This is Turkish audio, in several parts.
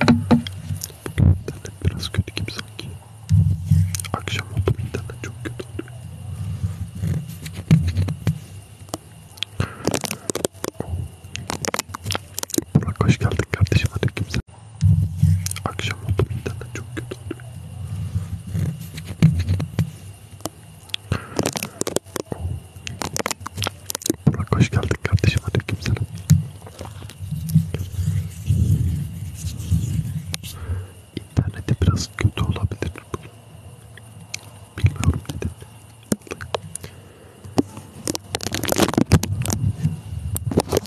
İnternet biraz kötü gibi sanki. Akşam oldu internet çok kötü oldu. Burak hoş geldin kardeşim hadi kimse. Akşam oldu internet çok kötü oldu. Burak hoş geldin kardeşim. Aleyküm selam. İnternette biraz kötü olabilir. Bilmiyorum dedim. Allah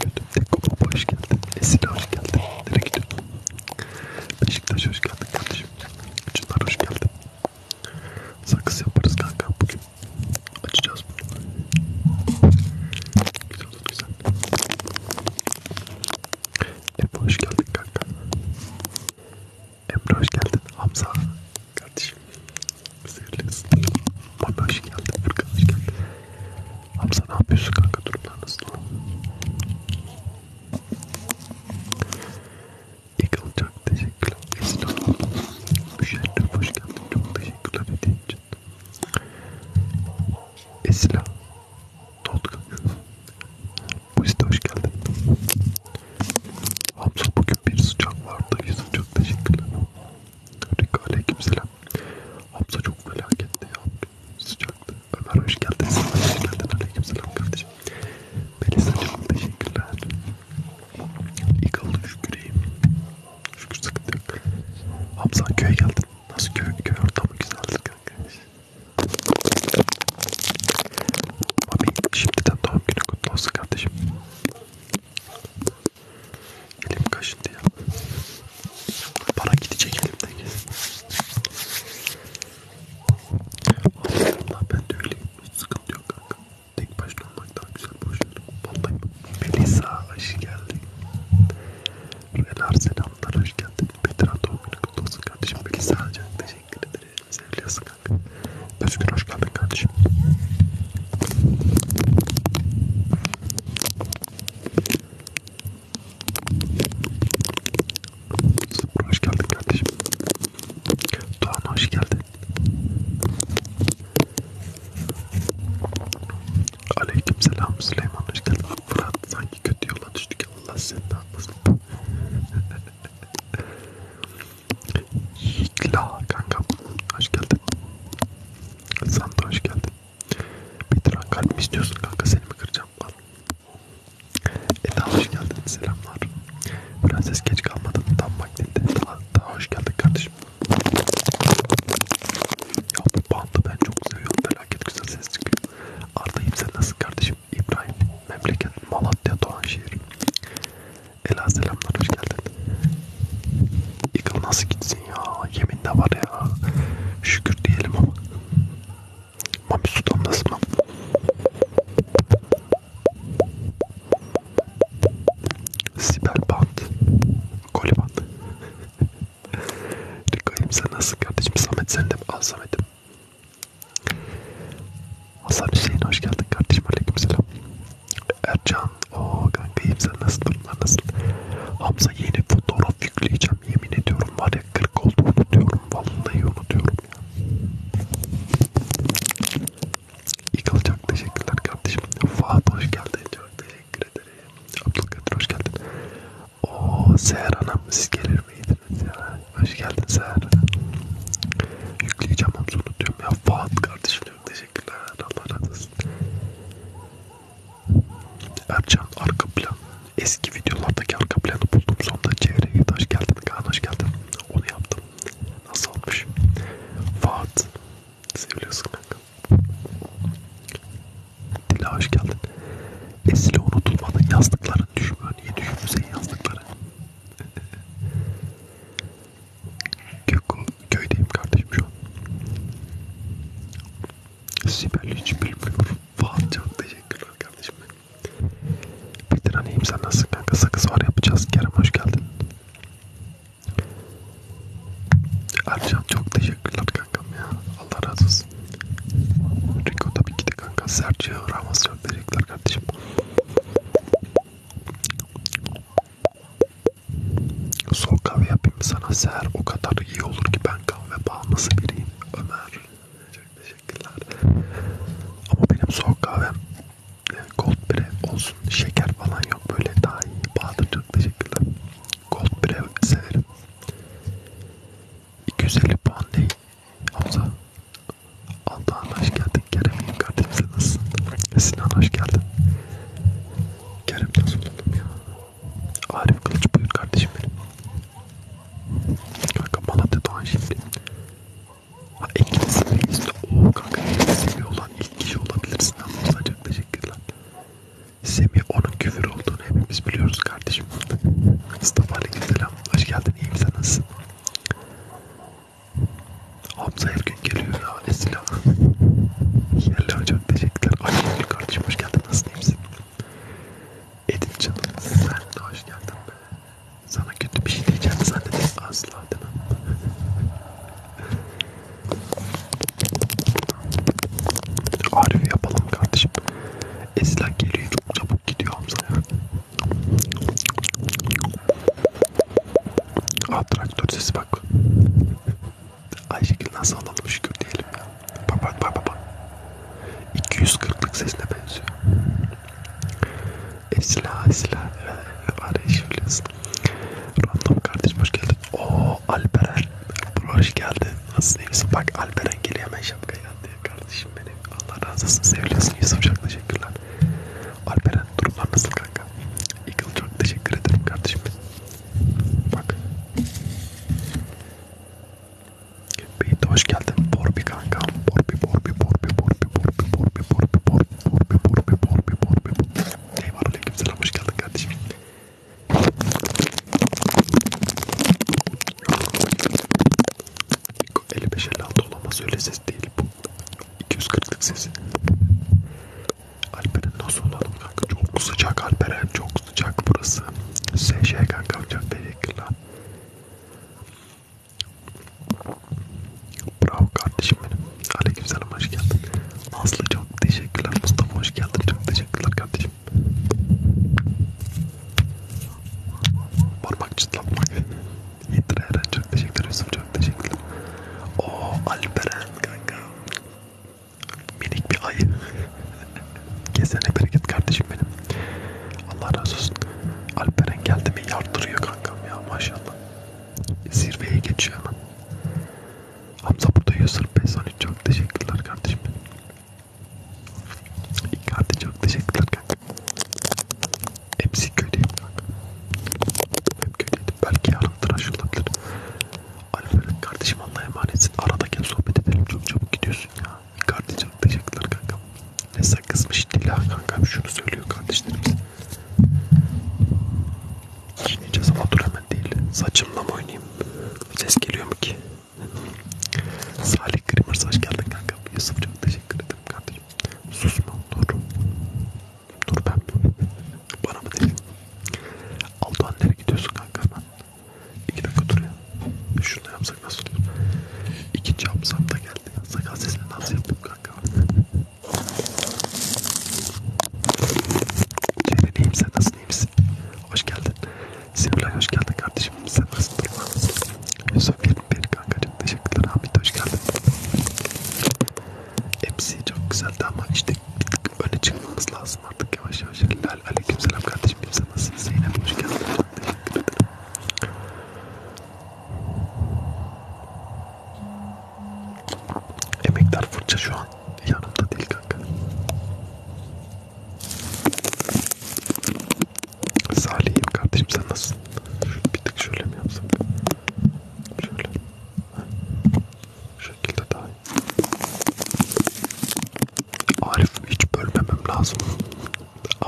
kötü. Tekko hoş geldin. Esile hoş geldin. Nereye gidiyorsun? Beşiktaş hoş geldin kardeşim. Çınar hoş geldin. Sakız yaparız kanka bugün. Açacağız bunu. Güzel olur güzel. Emre hoş geldin kanka. Emre hoş geldin. Hamza kardeşim. Sevgilisin. Mami hoş geldin. Furkan hoş geldin. Hamza ne yapıyorsun kanka? Durumlar nasıl? Egal çok teşekkürler. Esra Müşerref hoş geldin. Çok teşekkürler hediye için. Esra Totkan Buzit hoş geldin. Abla bugün bir sıcak vardı. Yüzüm çok teşekkürler. Rika aleykümselam. Abla çok felaketti ya. Sıcaktı. Ömer hoş geldin. Hoş geldin. Aleykümselam kardeşim. Melisa'cığım teşekkürler. İyi kaldı şükür iyiyim. Şükür sıkıntı yok. Hamza köye geldin. Nasıl köy, köy ortamı güzeldir kanka. Mami şimdiden doğum günü kutlu olsun kardeşim. Elim kaşındı ya. Para gidecek elimden. Allah Allah ben de öyleyim. Hiç sıkıntı yok kanka. Tek başına olmak daha güzel boşver. Vallahi Melisa hoş geldin. Renar selamlar hoş geldin. Petra doğum günü kutlu olsun kardeşim. Melisa Ancak teşekkür ederim. Seviliyorsun kanka. Özgür hoş geldin kardeşim. Sıfır hoş geldin kardeşim. Doğan hoş geldin. Aleykümselam Süleyman hoş geldin. Fırat sanki kötü yola düştük. Allah seni ne yapmasın. Yikla kankam hoş geldin. Santa hoş geldin. Bir tane kalp mi istiyorsun kanka seni mi kıracağım? Al. E daha hoş geldin selamlar. Prenses geç kalmadın tam vaktinde. Daha, daha hoş geldin kardeşim. Ya bu bandı ben çok seviyorum. Felaket güzel ses çıkıyor. Arda'yım sen nasıl kardeşim? İbrahim memleket Malatya Doğanşehir. Ela selamlar hoş geldin. Yıkıl nasıl gitsin ya? Yemin de var ya. Şükür diyelim ama. Mami sudan nasıl mı? Siberband. Koliband. Dükkanım sen nasıl kardeşim? Samet sen de mi? Al Samet'im. Hasan Hüseyin hoş geldin kardeşim. Aleykümselam. Ercan. o kankayım sen nasıl? Durumlar nasıl? Hamza yeni fotoğraf yükleyeceğim. Yemin ediyorum var ya 40 oldu unutuyorum. Vallahi unutuyorum. İkal çok teşekkürler kardeşim. Fuat hoş geldin. Çok teşekkür ederim. Abdülkadir hoş geldin. O Seher Hanım siz gelir miydiniz ya? Hoş geldin Seher. Yükleyeceğim hamsunu diyorum ya. Fuat kardeşim çok teşekkürler. Allah razı olsun. Ercan arka plan. Eski videolardaki arka planı buldum. Sonunda çevreye git. Hoş geldin Kaan hoş geldin. Onu yaptım. Nasıl olmuş? Fuat. Seviyorsun kanka. Dila hoş geldin. Esile unutulmadın yazdıkların düşmüyor. Niye düşmüyor senin yazdıkların? Köydeyim kardeşim şu an. Sibel hiç bilmiyor. Fuat çok teşekkürler kardeşim. Bir direneyim sen nasılsın kanka sakız var yapacağız Kerem hoş geldin. Ercan çok teşekkürler kankam ya Allah razı olsun. Rico tabii ki de kanka Sergio Ramos çok teşekkürler kardeşim. Soğuk kahve yapayım sana seher o kadar iyi olur ki ben kahve bağımlısı biriyim Ömer. Çok teşekkür Teşekkürler. Ama benim soğuk kahvem Gold e, Brew olsun. Şeker falan yok. Böyle daha iyi. Bahadır çok teşekkürler. Gold Brew severim. 250 puan değil. Hamza. Altan hoş geldin. Kerem'in kardeşimize nasılsın? Sinan hoş geldin. Kerem nasıl oldum ya? Arif Kılıç buyur kardeşim benim. Kanka Malatya Doğan şimdi. Ha İngiliz İngiliz Oo kanka İngiliz Semih olan ilk kişi olabilirsin ama çok teşekkürler. Semih onun küfür olduğunu hepimiz biliyoruz kardeşim. Mustafa Aleykümselam. Hoş geldin iyiyim sen nasılsın? Hamza her gün geliyor ya Esila. Yerli çok teşekkürler. Ay Gül kardeşim hoş geldin nasılsın iyi misin? Edin canım sen de hoş geldin be. Sana kötü bir şey diyeceğim zannedip asla demem. Arif yapalım kardeşim. Esla geliyor çok çabuk gidiyor Hamza. Ah traktör sesi bak. Ayşegül nasıl alalım şükür diyelim ya. Bak bak bak bak. 240'lık sesine benziyor. Esla Esla Arayışılıyorsun Random kardeş hoş geldin Ooo Alperen Bro hoş geldin Nasılsın Yusuf bak Alperen geliyor hemen şapkayı attı Kardeşim benim Allah razı olsun seviyorsun Yusuf çok teşekkürler Alperen durumlar nasıl kanka Eagle çok teşekkür ederim kardeşim Bak Beyt hoş geldin Borbi kanka Borbi Borbi Borbi Borbi Borbi Borbi Borbi Borbi Bebur bebur bebur bebur. Eyvallah aleyküm selam hoş geldin kardeşim. Eli beşerli altı olamaz öyle ses değil bu. 240'lık sesi. Alperen nasıl olalım kanka? Çok sıcak Alperen çok sıcak burası. SŞ kanka çok teşekkürler. Bravo kardeşim benim. Aleykümselam hoş geldin. Aslı çok teşekkürler. Mustafa hoş geldin. Çok teşekkürler kardeşim. Parmak çıtlatmak. Yeter Eren çok teşekkürler. Yusuf çok teşekkürler. Oo Alperen kanka. Minik bir ayı. Gezene bereket kardeşim benim. Allah razı olsun. Alperen geldi mi yardırıyor kankam ya maşallah. Zirveye geçiyor hemen. Hamza burada 145 13 çok teşekkürler kardeşim. İkardi çok teşekkürler kanka. Hepsi köylüyüm kanka. Hep köylüydüm. Belki yarın tıraş olabilir. Alper'in kardeşim Allah'a emanetsin. Arada gel sohbet edelim. Çok çabuk gidiyorsun ya. İkardi çok teşekkürler kanka. Ne sakızmış Dila kankam şunu söylüyor kardeşlerimiz. Yiyeceğiz ama dur hemen değil. Saçımla mı oynayayım? Ses geliyor mu ki? Salih Grimers hoş geldin kankam. Yusuf çok teşekkür ederim kardeşim. Susma dur. Dur ben mi? Bana mı dedin? Aldoğan nereye gidiyorsun kanka ben? İki dakika dur ya. Şunu da yapsak nasıl olur? İkinci hapsam da geldi. Sakal sesini nasıl yapayım kanka? Cemil iyiyim sen nasılsın iyi misin? Hoş geldin. Sinirlay hoş geldin kardeşim. Sen nasılsın durma. Yusuf bir bir kankacım teşekkürler Hamit hoş geldin. Hepsi çok güzeldi ama işte öne çıkmamız lazım artık yavaş yavaş. Aleykümselam kardeşim sen nasılsın? Zeynep hoş geldin. Teşekkür ederim. Emekler fırça şu an yanımda değil kanka. Salih'im kardeşim sen nasılsın? Bir tık şöyle mi yapsam? Şöyle. Ha. Şu şekilde daha iyi. Arif hiç bölmemem lazım.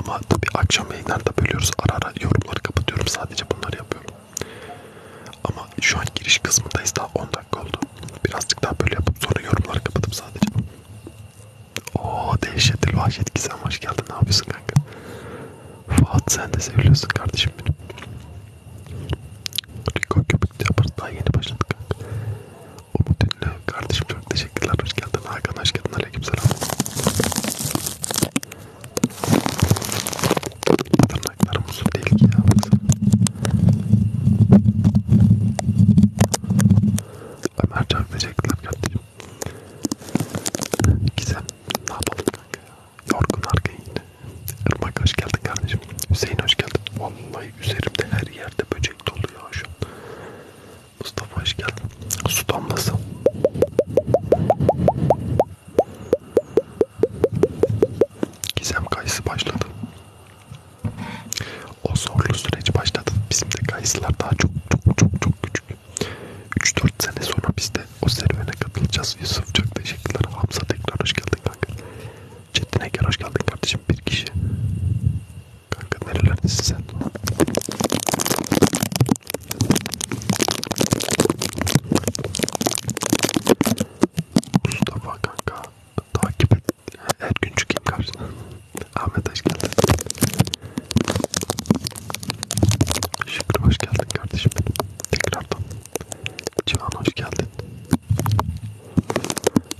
Ama tabi akşam yayınlarda bölüyoruz. Ara ara yorumları kapatıyorum. Sadece bunları yapıyorum. Ama şu an giriş kısmındayız daha 10 dakika oldu. Birazcık daha böyle yapıp sonra yorumları kapatıp sadece. Oo dehşetil vahşet gizem hoş geldin ne yapıyorsun kanka? Fuat sen de seviyorsun kardeşim benim. Riko köpük de yaparız daha yeni başladık kanka. Umut Ünlü kardeşim çok teşekkürler hoş geldin Hakan hoş geldin aleyküm selam. Tırnaklarım uzun değil ki ya. Ömercan verecekler kardeşim. Gizem ne yapalım kanka ya? Yorgun arkaya yine. Irmak hoş geldin kardeşim. Hüseyin hoş geldin. Vallahi üzerimde her yerde böcek dolu ya şu an. Mustafa hoş geldin. Su damlası. Gizem kayısı başladı. O zorlu süreç başladı. Bizim de kayısılar daha çok çok çok çok küçük. 3-4 sene sonra biz de o serüvene katılacağız. Yusuf çok teşekkürler. Hamza tekrar hoş geldin kanka. Çetin Eker hoş geldin kardeşim. Bir kişi. Kanka nerelerdesin sen? Mustafa kanka takip et. Her gün çıkayım karşına. Ahmet hoş geldin. Şükrü hoş geldin kardeşim benim. Tekrardan. Cihan hoş geldin.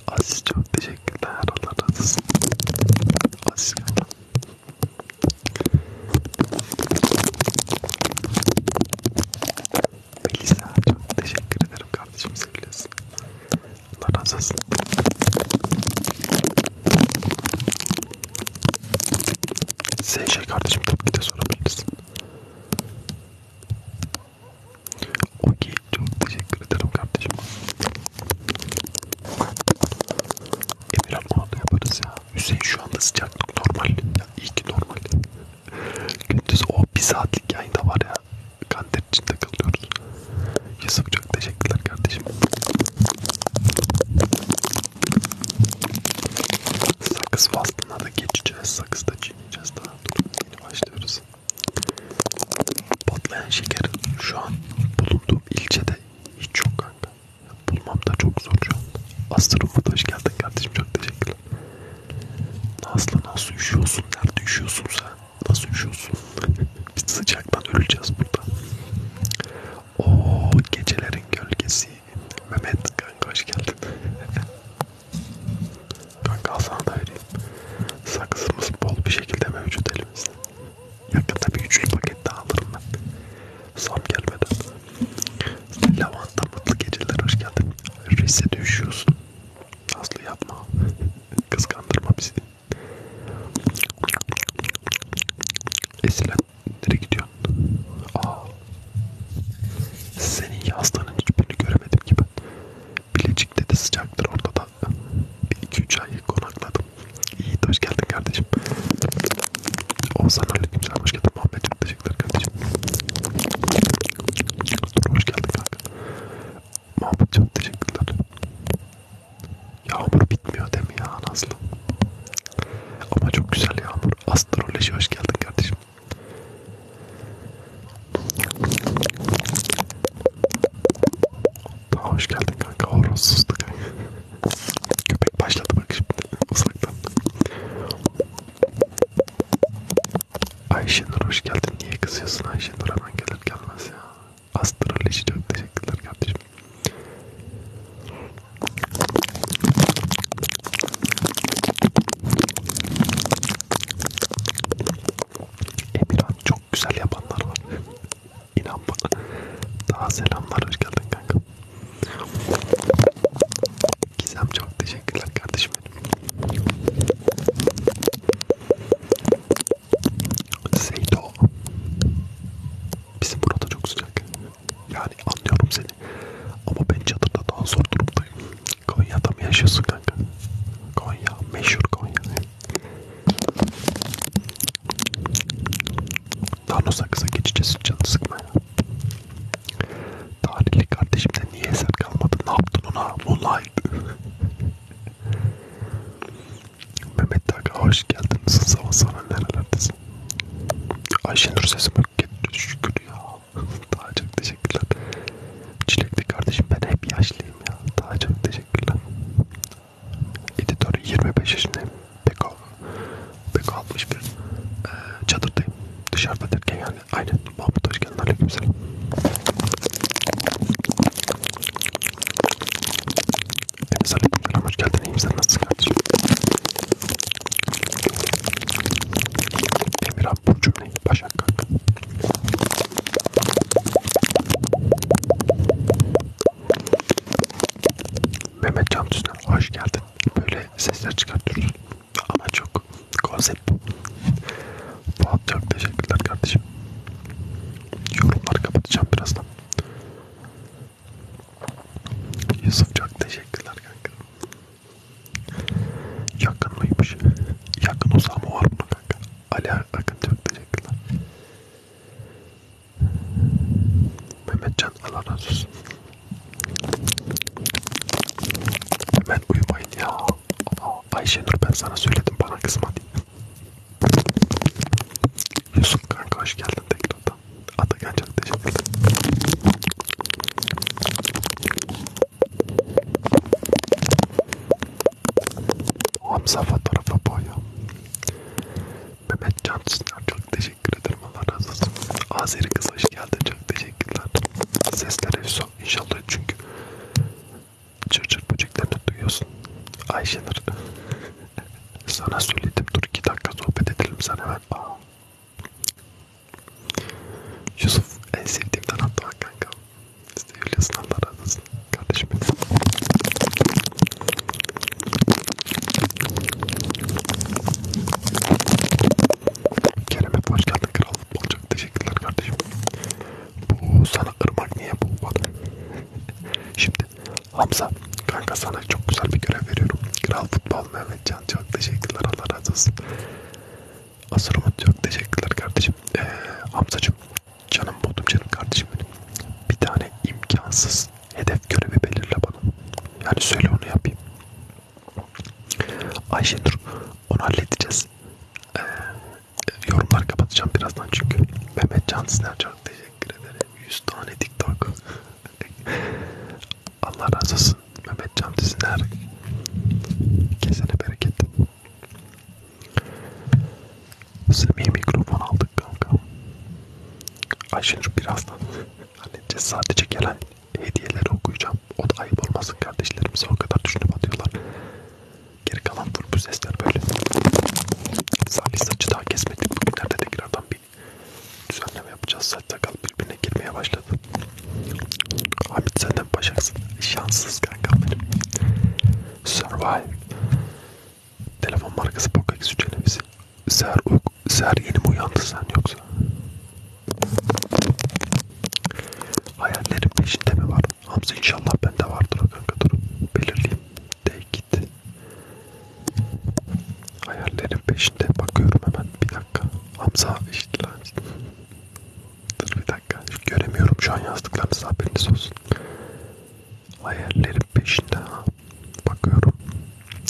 Aziz çok teşekkürler. Allah razı olsun. Aziz geldi. Melisa çok teşekkür ederim kardeşim sevgilisin. Allah razı olsun. Sen şey kardeşim tabii ki de sorabilirsin. Okey çok teşekkür ederim kardeşim. Emirhan onu da yaparız ya. Hüseyin şu anda sıcaklık normal. Ya, iyi ki normal. Gündüz o bir saatlik yayında var ya. Kanter içinde kalıyoruz. Yusuf çok teşekkürler kardeşim. Sakız faslına da geçeceğiz. Sakız da çiğneyeceğiz daha. Dur, yeni başlıyoruz. Patlayan şeker şu an bulunduğum ilçede hiç yok kanka bulmam da çok zor şu anda. Astrofot hoş geldin kardeşim çok teşekkürler. Aslı nasıl üşüyorsun? Nerede üşüyorsun sen? Nasıl üşüyorsun? Biz sıcaktan öleceğiz burada. Oo gecelerin gölgesi. Mehmet kanka hoş geldin. kanka sana da vereyim. Sakızımız bol bir şekilde mevcut elimizde. Yakında bir üçlü paket daha alırım ben. Zam gelmeden. Lavanta mutlu geceler hoş geldin. Reis'e düşüyorsun. Aslı yapma. Kıskandırma bizi. Esilen nereye gidiyorsun? Aa. Senin yazdığının hiçbirini göremedim ki ben. Bilecik'te de sıcaktır orada da. Bir iki üç ay konakladım. İyi hoş geldin kardeşim. Oğuzhan Aleyküm Selam hoş geldin Muhammed'cim teşekkürler kardeşim. Dur hoş geldin kanka. Mahmut'cim teşekkürler. Yağmur bitmiyor değil mi ya Nazlı? Ama çok güzel yağmur. Astroloji hoş geldin kardeşim. Daha hoş geldin kanka. Horonsuzdu kanka. Köpek başladı bak şimdi. Uzaktan. Ayşenur hoş geldin. Niye kızıyorsun Ayşenur hemen gelir gelmez ya. Astroloji çok teşekkürler kardeşim. Emirhan çok güzel yapanlar var. İnan bana. Daha selamlar hoş geldin kanka. Gizem çok teşekkürler kardeşim benim. Seydo. Bizim burada çok sıcak. Yani anlıyorum seni. Ama ben çadırda daha zor durumdayım. Konya'da mı yaşıyorsun kanka? Konya, meşhur Konya. Daha Nosakız'a geçeceğiz canı sıkmaya. Tarihli kardeşimde niye eser kalmadı? Ne yaptın ona? Moonlight. Mehmet Taka hoş geldin. Sabah sana nerelerdesin? Ayşenur sesim yok. Şükür ya. Daha çok teşekkürler. Çilekli kardeşim ben hep yaşlıyım ya. Daha çok teşekkürler. Editör 25 yaşındayım. Peko. Beko 61 ee, çadırdayım. Dışarıda derken yani aynen. Mahmut hoş geldin. Aleyküm selam. Enes aleyküm selam. Hoş geldin. İyiyim sen nasılsın kardeşim? Emir abi bu cümleyi başa kalk. Mehmet Can Tüzler hoş geldin. Böyle sesler çıkartıyoruz ama çok konsept. Fuat çok teşekkürler kardeşim. Yorumları kapatacağım birazdan. Yusuf çok teşekkürler kanka. Yakın mıymış? Yakın uzamı var bunun kanka. Ali Akın çok teşekkürler. Mehmetcan Allah razı olsun. Hemen uyumayın ya. Aa, Ayşenur ben sana söyledim bana kızma diye. Yusuf kanka hoş geldin tekrardan. Atakan çok teşekkür ederim. Hamza fotoğrafa boyu. Mehmet Can Sunar çok teşekkür teşekkür ederim. Allah razı olsun. Azeri kız hoş geldin. Çok teşekkürler. Sesler efsun. İnşallah çünkü çır çır böceklerini duyuyorsun. Ayşenur. sana söyledim. Dur iki dakika sohbet edelim sen hemen. Aa. Yusuf en sevdiğimden hatta kanka. Seviyorsun Allah razı olsun. Kardeşim benim. Kerem'e hoş geldin kral futbolcu. Teşekkürler kardeşim. Bu sana ırmak niye bu bana? Şimdi Hamza kanka sana çok güzel bir görev veriyorum. Kral futbol Mehmetcan çok teşekkürler Allah razı olsun. Asır Umut çok teşekkürler kardeşim. Ee, Hamzacığım canım buldum canım kardeşim benim. Bir tane imkansız hedef görevi belirle bana. Yani söyle onu yapayım. Ayşe dur onu halledeceğiz. Ee, yorumlar kapatacağım birazdan çünkü. Mehmet Can Siner çok teşekkür ederim. 100 tane TikTok. Allah razı olsun. Mehmet Can Siner. Kesene bereket. Semih mikrofon aldık kanka. Ayşenur birazdan halledeceğiz. Sadece gelen hediyeleri okuyacağım yap. O da ayıp olmasın kardeşlerimize o kadar düşünüp atıyorlar. Geri kalan bu sesler böyle. Salih saçı daha kesmedik. Bugünlerde tekrardan bir düzenleme yapacağız. Saç sakal birbirine girmeye başladı. Hamit senden başaksın. Şanssız kankam benim. Survive. Telefon markası Poco X3 Ser, ser yeni mi uyandı sen yoksa? Hayallerin peşinde mi var? Hamza inşallah bende vardır o kanka dur. Belirleyeyim. De git. Hayallerin peşinde bakıyorum hemen bir dakika. Hamza işte Dur bir dakika. Göremiyorum şu an yazdıklarınızı haberiniz olsun. Hayallerin peşinde ha. Bakıyorum.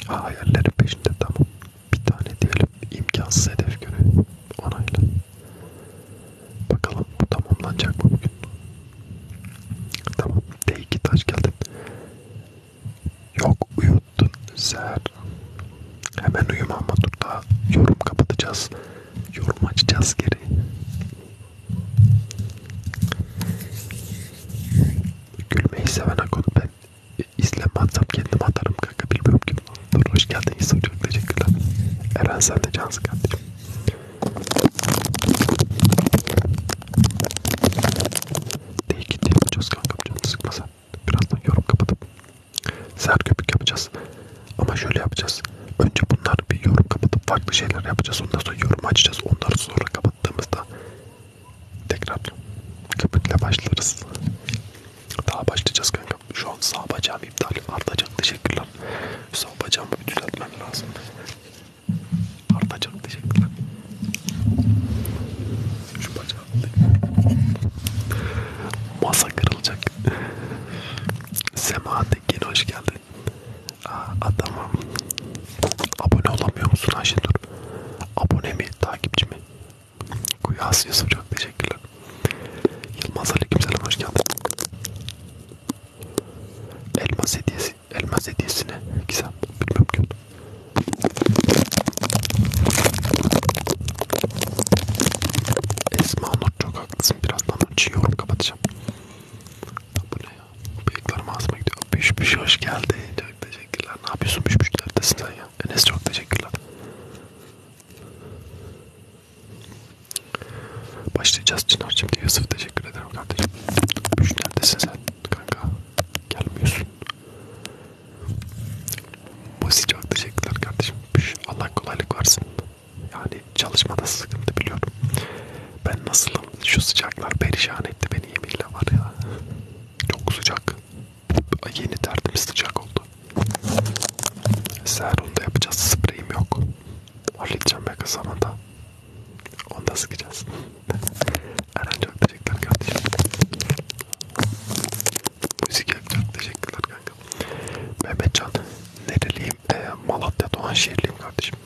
Ha, hayallerin peşinde tamam bir tane diyelim imkansız hedef görevi onayla. Bakalım bu tamamlanacak mı bugün? Tamam. D2 taş geldim. Yok uyuttun Seher. Hemen uyuma ama dur daha yorum kapatacağız. Yorum açacağız geri. Gülmeyi seven akonu ben İzlenmezsem kendim atarım kanka bilmiyorum ki. Dur hoş geldin İslam çok teşekkürler. Eren sen de cansın kardeşim. Değil ki değil yapacağız kanka canım sıkma sen. Birazdan yorum kapatıp ser köpük yapacağız. Ama şöyle yapacağız. Önce bunlar bir yorum kapatıp farklı şeyler yapacağız. Ondan sonra yorum açacağız. Onları sonra kapattığımızda tekrar köpükle başlarız. Daha başlayacağız kanka. Şu an sağ bacağım iptal. Artacan teşekkürler. Sağ bacağımı bir düzeltmem lazım. Artacan teşekkürler. Şu bacağım. Masa kırılacak. Sema Tekin hoş geldin. Aa, adamım. Abone olamıyor musun Ayşe dur. Abone mi? Takipçi mi? Asya Sıcak teşekkürler. Yılmaz Aleykümselam hoş geldin. Elmas hediyesi, elmas hediyesi ne? Güzel, bilmem ki. Esma Nur çok haklısın. Birazdan önce yorum kapatacağım. Bu ne ya? Bıyıklarım ağzıma gidiyor. Büş büş hoş geldi. Çok teşekkürler. Ne yapıyorsun büş büş? Neredesin sen ya? Enes çok teşekkürler. Başlayacağız Çınar'cığım diye Yusuf teşekkür ederim kardeşim. Büş neredesin sen kanka? Gelmiyorsun. Musi çok teşekkürler kardeşim. Büş Allah kolaylık versin. Yani çalışmada sıkıntı biliyorum. Ben nasılım? Şu sıcaklar perişan etti beni yeminle var ya. Çok sıcak. Yeni tertemiz sıcak oldu. Seher da yapacağız. Spreyim yok. Halledeceğim yakın zamanda. Onu da sıkacağız. Eren çok teşekkürler kardeşim. Müzik yapacak. Teşekkürler kanka. Mehmetcan. Nereliyim? E, Malatya Doğanşehirliyim kardeşim.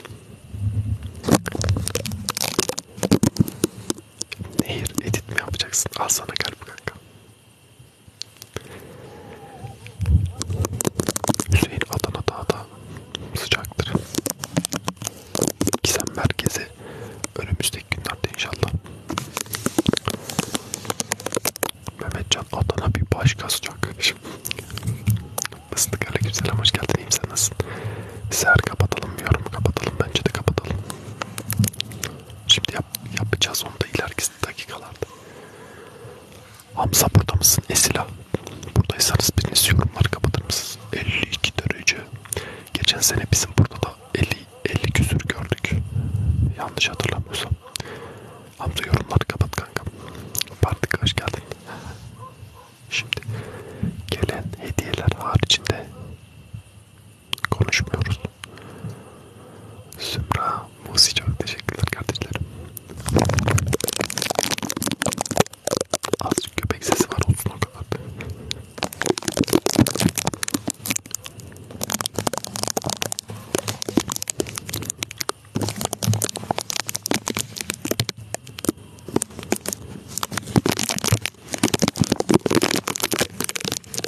Nehir edit mi yapacaksın? Al sana gel bu kanka. Hüseyin Adana daha da sıcaktır. Gizem merkezi önümüzdeki günlerde inşallah. Mehmetcan Adana bir başka sıcak kardeşim. Mıstık Aleyküm selam hoş geldin iyiyim sen nasılsın? Seher kapatalım mı yorum kapatalım bence de kapatalım. Şimdi yap, yapacağız onu da ileriki dakikalarda. Hamza burada mısın? Esila. Buradaysanız biriniz yorumları kapatır mısınız? 52 derece. Geçen sene bizim burada da 50, 50 küsür gördük. Yanlış hatırlamıyorsam. Hamza yorumları kapat kanka. Partik hoş geldin. Şimdi gelen hediyeler haricinde konuşmuyoruz. Sümra Musi çok teşekkürler kardeşlerim. Azıcık köpek sesi var olsun o kadar.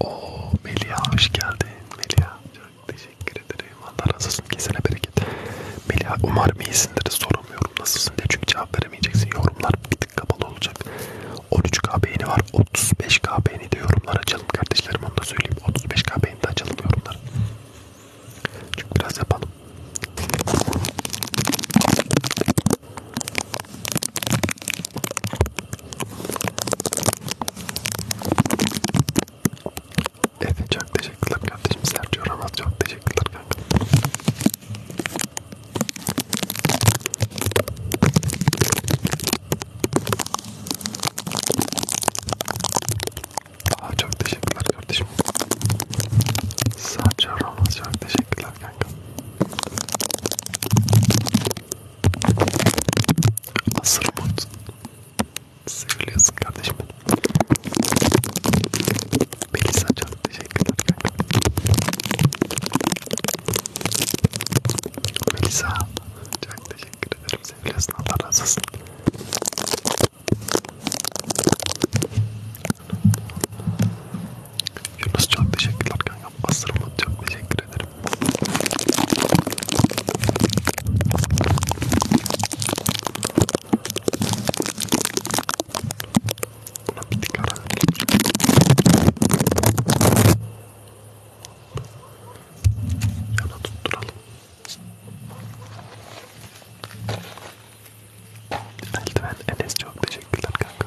Oo Melia hoş geldin. Melia çok teşekkür ederim. Allah razı olsun. Kesene bereket. Melia umarım iyisindir. Soramıyorum nasılsın diye çünkü cevap veremeyeceksin. Yorumlar bir tık kapalı olacak. 13k beğeni var. 35k beğeni de yorumlar açalım kardeşlerim. Onu da söyleyeyim. 35k beğeni de açalım yorumlar. Çünkü biraz yapalım. Evet çok teşekkürler kardeşim Sergio Ramos çok teşekkürler kanka. Aa, çok teşekkürler kardeşim. Sergio Ramos çok teşekkürler kanka. Asır mut. Seviliyorsun kardeşim benim. Melisa çok teşekkürler. Melisa çok teşekkür ederim. Seviliyorsun Allah razı olsun. Yunus çok teşekkürler kankam. Asır mut çok teşekkür ederim. Buna bir tık ara Yana tutturalım. Eldiven Enes çok teşekkürler kanka.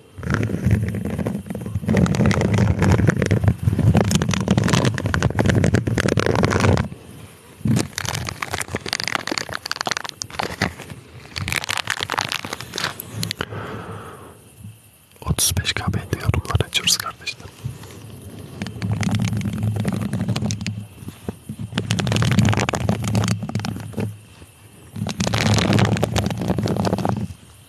35K beğendi yorumlar açıyoruz kardeşler.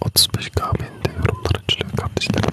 35 KB'nin de yorumlar açılıyor kardeşlerim.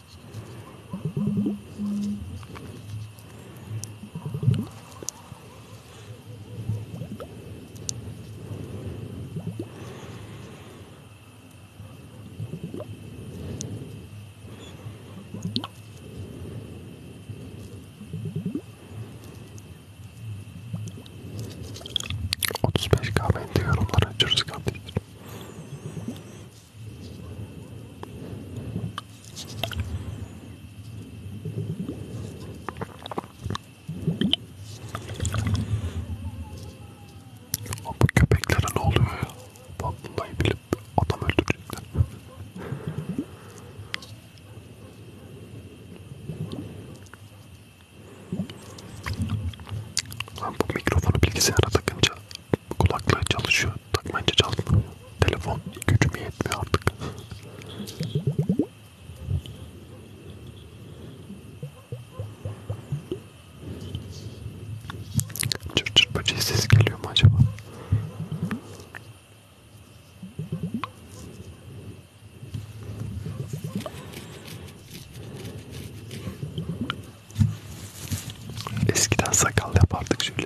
35 kahve yorumlara açıyoruz kardeşler. Bu köpeklere ne oluyor ya? Vallahi bilip adam öldürecekler. Ben bu mikrofonu bilgisayara takınca kulaklığı çalışıyor. Takmanca çalışmıyor. Telefon gücüm yetmiyor artık. Çırt çırt böceği sesi geliyor mu acaba? Eskiden sakal yapardık şöyle.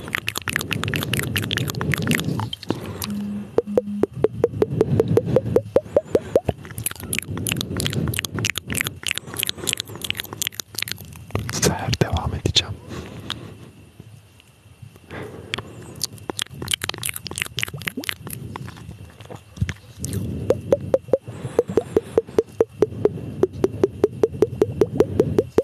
Seher devam edeceğim.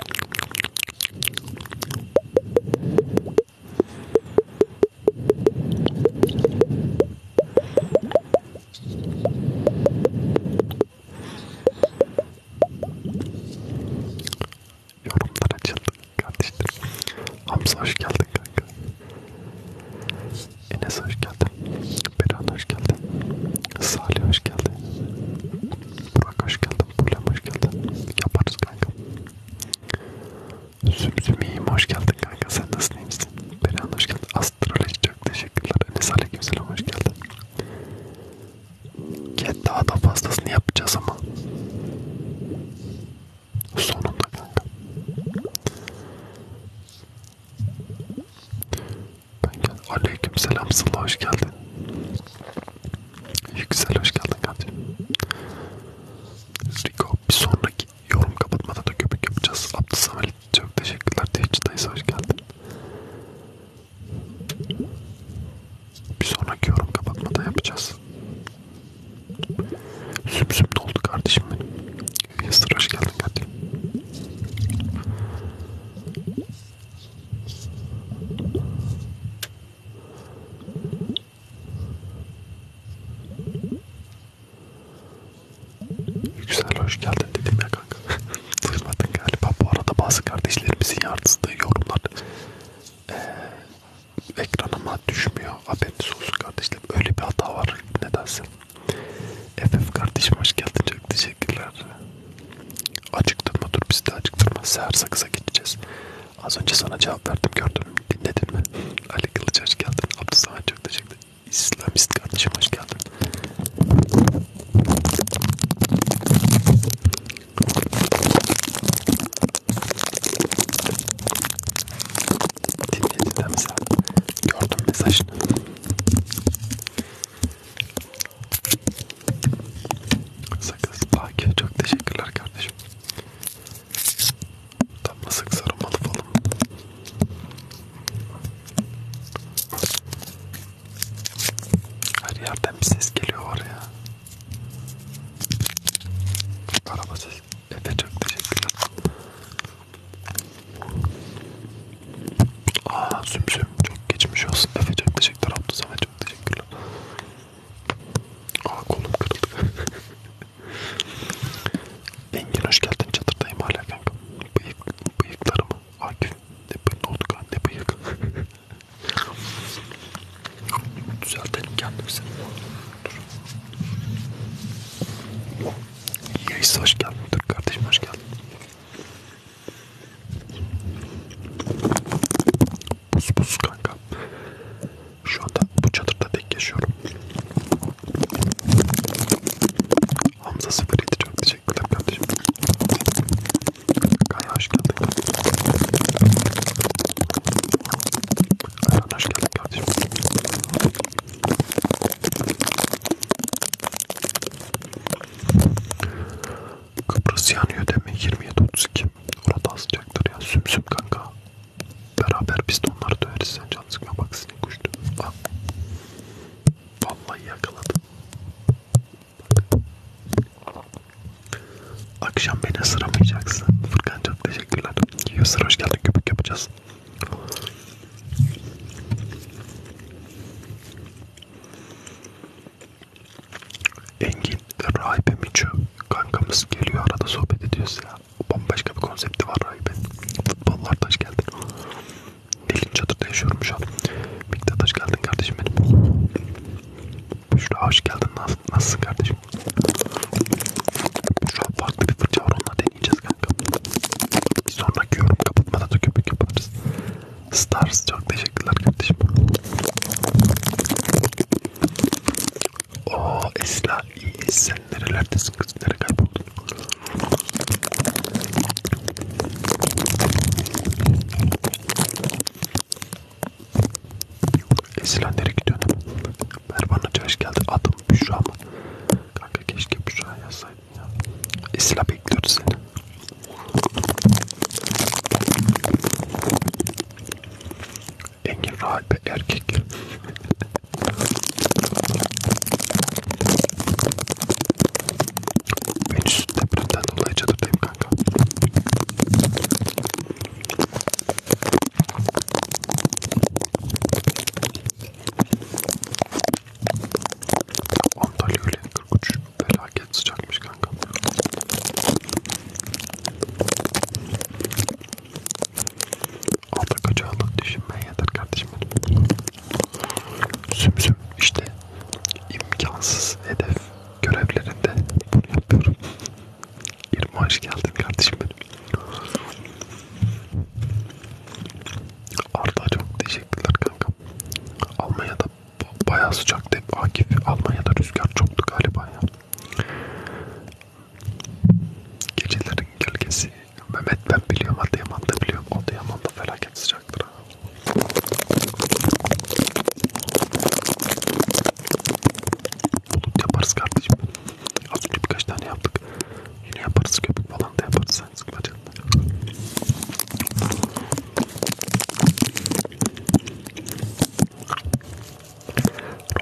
Yorumlar açıldı kardeşlerim. Hamza hoş geldin kanka. Enes hoş geldin. Beran hoş geldin. Salih hoş geldin. Burak hoş geldin. Problem hoş geldin. Yaparız kanka. Sümsümiyim hoş geldin kanka. Sen nasılsın iyi misin? Beren hoş geldin. Astroloji çok teşekkürler. Enes Aleykümselam hoş geldin. Get daha da fazlasını yapacağız ama. Sonunda kanka. Ben gel. Aleyküm selam Sıla hoş geldin. Yüksel hoş geldin kardeşim. Rico bir sonraki yorum kapatmada da köpük yapacağız. Abdüsamel çok teşekkürler. Tehcid dayısı hoş geldin. Bir sonraki yorum kapatmada yapacağız. Sümsüm doldu kardeşim benim. Yasir hoş geldin kardeşim. Güzel hoş geldin dedim ya kanka. Duymadın galiba. Bu arada bazı kardeşlerimizin yardısı da yorumlar ee, ekranıma düşmüyor. Haberiniz olsun kardeşlerim. Öyle bir hata var nedense. FF kardeşim hoş geldin. Çok teşekkürler. Acıktırma dur biz de acıktırma. Seher sakıza gideceğiz. Az önce sana cevap verdim gördün mü? Dinledin mi? Ali Kılıç hoş geldin. Abdülsamet çok teşekkür İslamist kardeşim hoş geldin. Dinledin mi sen? Gördüm mesajını. Sakız Akif çok teşekkürler kardeşim. Tam masık sarılmalı falan. Her yerden bir ses geliyor var ya. Araba sesi. Efe çok teşekkürler. Aa sümsüm çok geçmiş olsun. Efe çok teşekkürler Abdü Samet. Çok teşekkürler. Aa kolum kırıldı. Engin hoş geldin çadırdayım hala kanka. Bıyık, bıyıklarımı. Akif ne bıyık oldu kanka ne bıyık. Düzeltelim kendimizi. Dur. Yayısı hoş geldin. Dur kardeşim hoş geldin. Buz buz kanka. Şu anda bu çadırda tek yaşıyorum. Hamza 07 çok teşekkürler kardeşim. Kaya hoş geldin. Ayhan hoş geldin kardeşim. Kıbrıs yanıyor deme 27-32. Orada asılacaktır ya. Sümsüm kanka. Beraber biz de onları döveriz. Sen can sıkma bak sinek uçtu. Bak. Vallahi yakaladım. Bak. Akşam beni ısıramayacaksın. Furkan çok teşekkürler. Yusur hoş geldin. Köpük yapacağız. Engin Rahibe Miço kankamız geliyor arada sohbet ediyoruz ya. Bambaşka bir konsepti var Rahibe. Futbollar taş geldin. Dilin çadırda yaşıyorum şu an. Miktat taş geldin kardeşim benim. Büşra hoş geldin. Nasıl, nasılsın kardeşim? Büşra farklı bir fırça var. Onunla deneyeceğiz kanka. Bir sonraki yorum kapatmada da köpük yaparız. Stars çok teşekkürler kardeşim. O Esra iyi sen nerelerdesin kız nereye kayboldun? Esra nereye gidiyorsun? Mervan'a hoş geldi adım Büşra mı? Kanka keşke Büşra yazsaydın ya. Esra bekliyoruz seni. Engin rahat bir erkek. ben şu depremden dolayı çadırdayım kanka. Antalya öyle 43. Felaket sıcakmış kanka. Alta kaçağılık düşünmeye yeter kardeşim benim. Sümsüm işte imkansız hedef görevlerinde bunu yapıyorum. İrma hoş geldin kardeşim benim. Arda çok teşekkürler kanka. Almanya'da Bayağı sıcaktı hep Akif. Almanya'da rüzgar çoktu galiba ya. Gecelerin gölgesi. Mehmet ben biliyorum Adıyaman'da biliyorum. Adıyaman'da felaket sıcaktır ha. Bulut yaparız kardeşim. Az önce birkaç tane yaptık. Yine yaparız köpük falan da yaparız. Sen sıkma canını.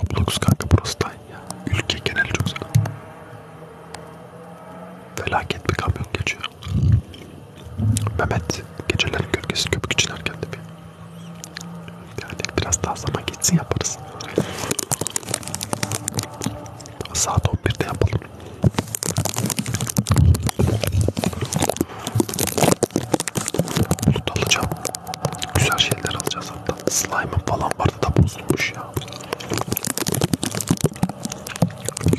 Roblox kanka burası da ya. Ülke geneli çok güzel. Felaket bir kamyon geçiyor. Mehmet gecelerin gölgesi köpük için erken tabi. Yani biraz daha zaman geçsin yaparız. Saat 11'de yapalım. Loot alacağım. Güzel şeyler alacağız hatta. Slime'ın falan vardı da bozulmuş ya.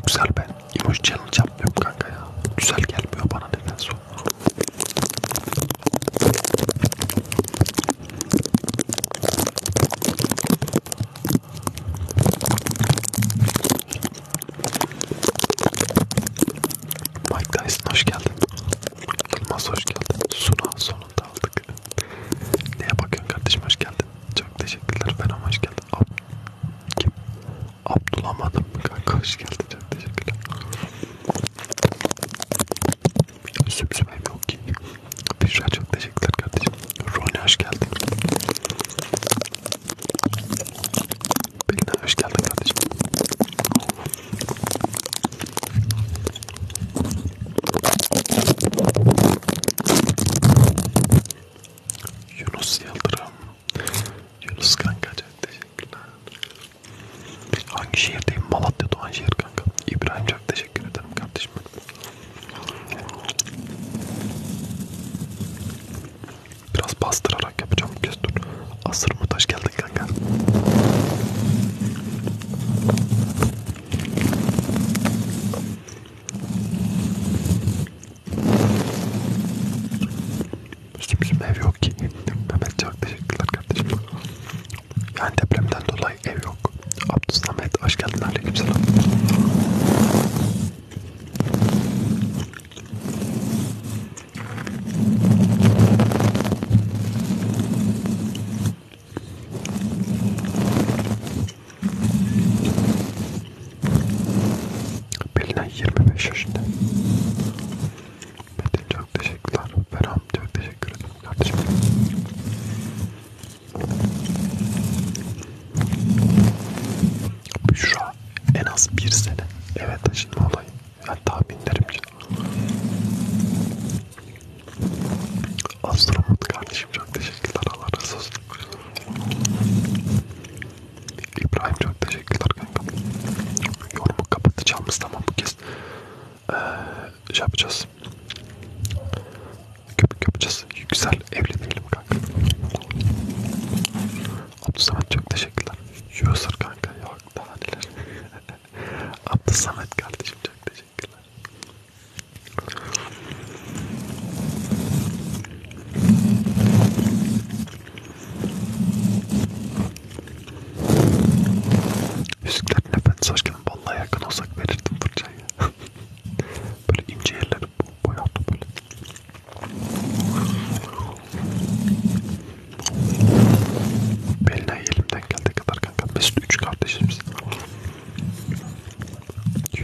Güzel ben. Emoji challenge yapmıyorum kanka ya. Güzel gelmiyor bana nedense. Mike Tyson hoş geldin. Yılmaz hoş geldin. Suna sonunda aldık. Neye bakıyorsun kardeşim hoş geldin. Çok teşekkürler Venom hoş geldin. Ab Kim? Abdulamadım kanka hoş geldin. Çok teşekkürler. Sübsübem şey yok ki. Büşra çok teşekkürler kardeşim. Rony hoş geldin. Belinay hoş geldin kardeşim. Yunus Yıldırım. Yunus kanka çok teşekkürler. Hangi şehirdeyim? Malatya Doğanşehir kanka. İbrahim çok teşekkür ederim kardeşim. Biraz bastırarak yapacağım Kestur. Asır mı taş geldin kanka? Şimdi bizim ev yok ki. Mehmet çok teşekkürler kardeşim. Yani depremden dolayı ev yok. Abdus Samet hoş geldin aleykümselam. Bilinen 25 yaşında. Metin çok teşekkürler. Ferhan çok teşekkür ederim kardeşim. Büşra en az bir sene eve taşınma olayı. Yani tahminlerimce. Astronot kardeşim çok teşekkürler. Allah razı olsun. İbrahim çok teşekkürler kanka. Yorumu kapatacağımız tamam bu kez. Ee, şey yapacağız. Köpük yapacağız. Güzel evli değilim kanka. Abdülsamet çok teşekkürler. User kanka ya daha neler. Abdü Samet kardeşim çok teşekkürler. Yüzüklerin Efendisi aşkına vallahi yakın olsak verirdim fırçayı. böyle ince yerleri boyattı böyle. Beline elimden geldiği kadar kanka. Biz üç kardeşimiz.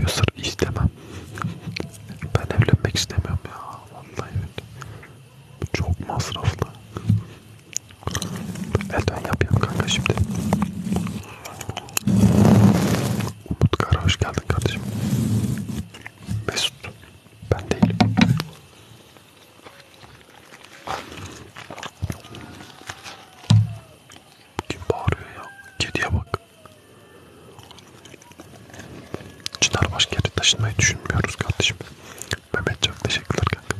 User istemem. Ben evlenmek istemiyorum ya. Vallahi Bu çok masraflı. Elden yapayım kanka şimdi. Umut Kara hoş geldin kardeşim. Mesut. Ben değilim. Kim bağırıyor ya? Kediye bak. Çınarbaşı geri taşınmayı düşünmüyoruz kardeşim. Mehmet çok teşekkürler kanka.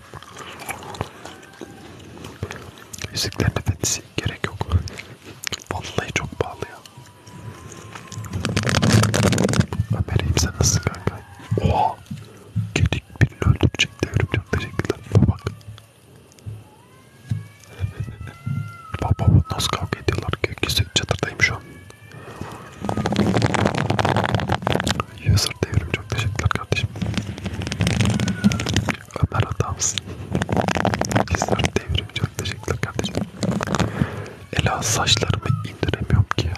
Yüzüklerin efendisi gerek yok. Vallahi çok pahalı ya. Ömer'im sen nasılsın kanka? Oha! Gedik birini öldürecek devrim çok teşekkürler. Bak bak. bak nasıl kavga ediyorlar ki çatırdayım şu an. User devrim çok teşekkürler kardeşim. Ömer adamsın. User devrim çok teşekkürler kardeşim. Ela saçlarımı indiremiyorum ki ya.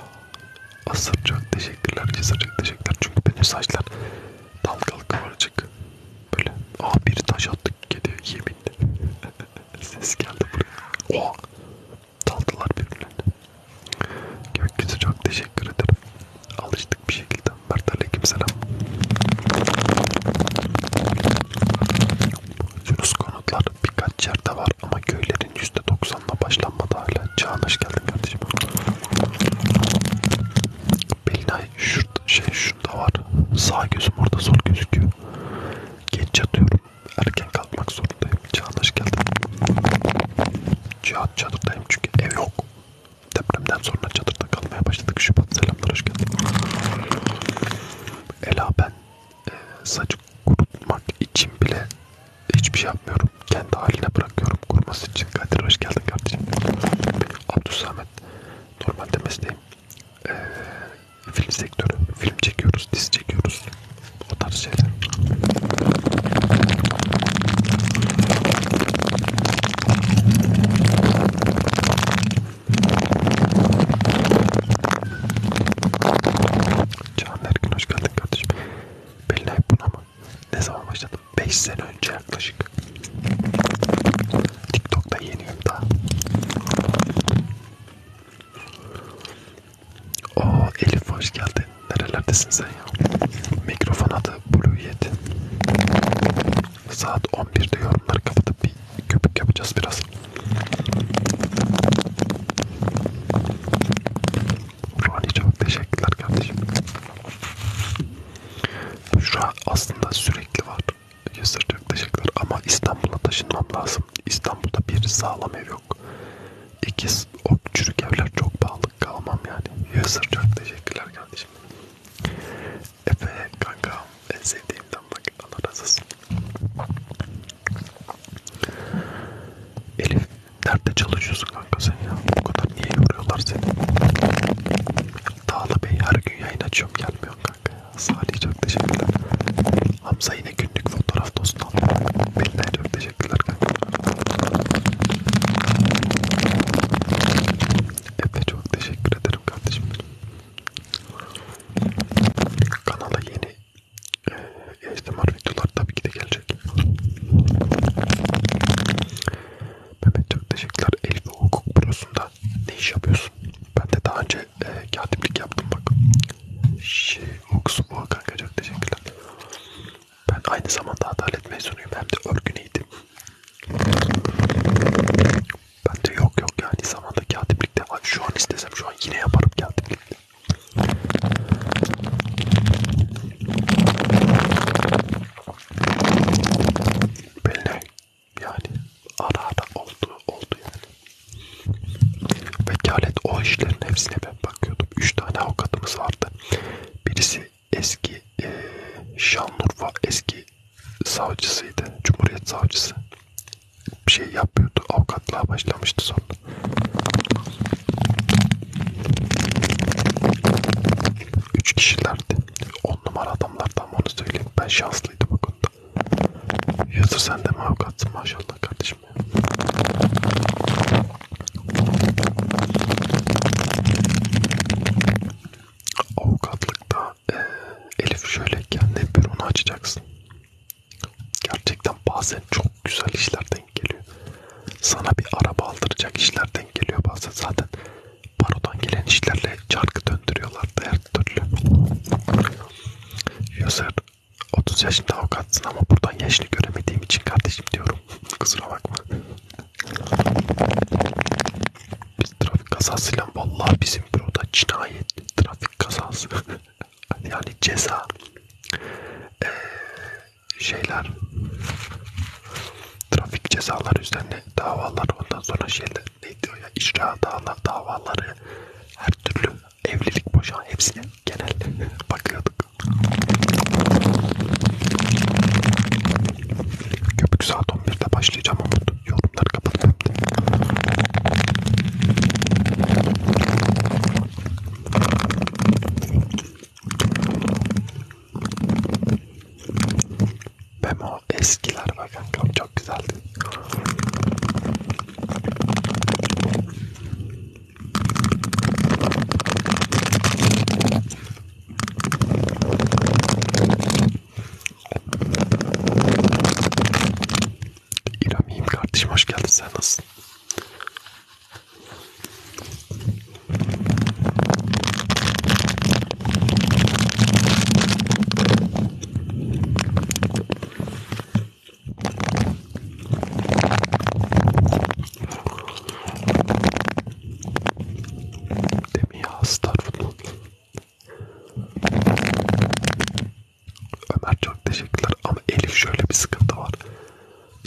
Asırcak teşekkürler, cesarcak teşekkürler. Çünkü benim saçlar dalgalı kıvırcık. Böyle. Aa bir taş attık kediye yeminle. Ses geldi buraya. Oha. Daldılar birbirlerine. Gökyüzü çok teşekkür ederim. Alıştık bir şekilde. Mert aleykümselam. Yunus konutlar birkaç yerde var ama köylerin %90'la başlanmadı hala. Çağın hoş geldin kardeşim. Belinay şurada, şey şurada var. Sağ gözüm orada sol gözüküyor. Geç yatıyorum. Erken kalkmak zorundayım. Çağın hoş geldin. Cihat çadırdayım çünkü ev yok. Depremden sonra çadırda kalmaya başladık. Şubat selamlar hoş geldin. Ela ben e, saçı kurutmak için bile hiçbir şey yapmıyorum. Kendi haline bırakıyorum kurması için. Kadir hoş geldin kardeşim. Abdülsamet. Normalde mesleğim ee, film sektörü. Film çekiyoruz, dizi çekiyoruz. O tarz şeyler. Can Erkin hoş geldin kardeşim. Billahi buna mı? Ne zaman başladım? 5 sene önce yaklaşık. TikTok'ta yeniyorum daha. Oo Elif hoş geldin. Nerelerdesin sen ya? Mikrofon adı Blue Yeti. Saat 11'de yorumları kapatıp bir köpük yapacağız biraz. Rani çok teşekkürler kardeşim. Büşra aslında sürekli var. Yazır çok teşekkürler ama İstanbul'a taşınmam lazım. İstanbul'da bir sağlam ev yok. İki o çürük evler çok pahalı kalmam yani. Yazır çok teşekkürler kardeşim. Efe kanka en sevdiğimden bak Allah razı olsun. Elif nerede çalışıyorsun kanka sen ya? Bu kadar niye yoruyorlar seni? Dağlı Bey her gün yayın açıyorum gelmiyorsun kanka ya. Salih çok teşekkürler. Hamza yine günlük fotoğraf dostum. Beline çok teşekkürler kanka. Efe çok teşekkür ederim kardeşim. Kanala yeni ASMR videolar tabii ki de gelecek. Mehmet çok teşekkürler. Elif ve hukuk bürosunda ne iş yapıyorsun? Ben de daha önce e, katiplik yaptım bak. Şey, hukuk bu kanka çok teşekkürler. Ben aynı zamanda adalet mezunuyum. Hem de örgü neydi? Ben de yok yok yani zamanda katiplikte şu an istesem şu an yine yaparım katiplikte. Böyle yani ara ara oldu oldu yani. Vekalet o işlerin hepsine ben bakıyordum. Üç tane avukatımız vardı. Birisi eski e, Şanlıurfa eski savcısıydı. Cumhuriyet savcısı. Bir şey yapıyordu. Avukatlığa başlamıştı sonra. Üç kişilerdi. On numara adamlardan onu söyleyeyim. Ben şanslıydım bu konuda. Yusuf sen de mi avukatsın maşallah kardeşim ya. Avukatlıkta e, Elif şöyle kendi büronu açacaksın. Gerçekten bazen çok güzel işler de denk geliyor. Sana bir araba aldıracak işler denk geliyor bazen zaten. Barodan gelen işlerle çarkı döndürüyorlardı her türlü. Yoser 30 yaşında avukatsın ama buradan yaşını göremediğim için kardeşim diyorum. Kusura bakma. Biz trafik kazasıyla vallahi bizim büroda cinayet trafik kazası yani ceza ee, şeyler trafik cezaları üzerine davalar ondan sonra şeyler neydi o ya icra dava, davaları her türlü evlilik boşan hepsine genel bakıyorduk. Köpük saat 11'de başlayacağım Umut. Yorumları kapattım. Memo eskiler bakın çok çok güzeldi. İrem iyiyim kardeşim hoş geldin sen nasılsın? Demi hasta Ömer çok teşekkürler ama Elif şöyle bir sıkıntı var.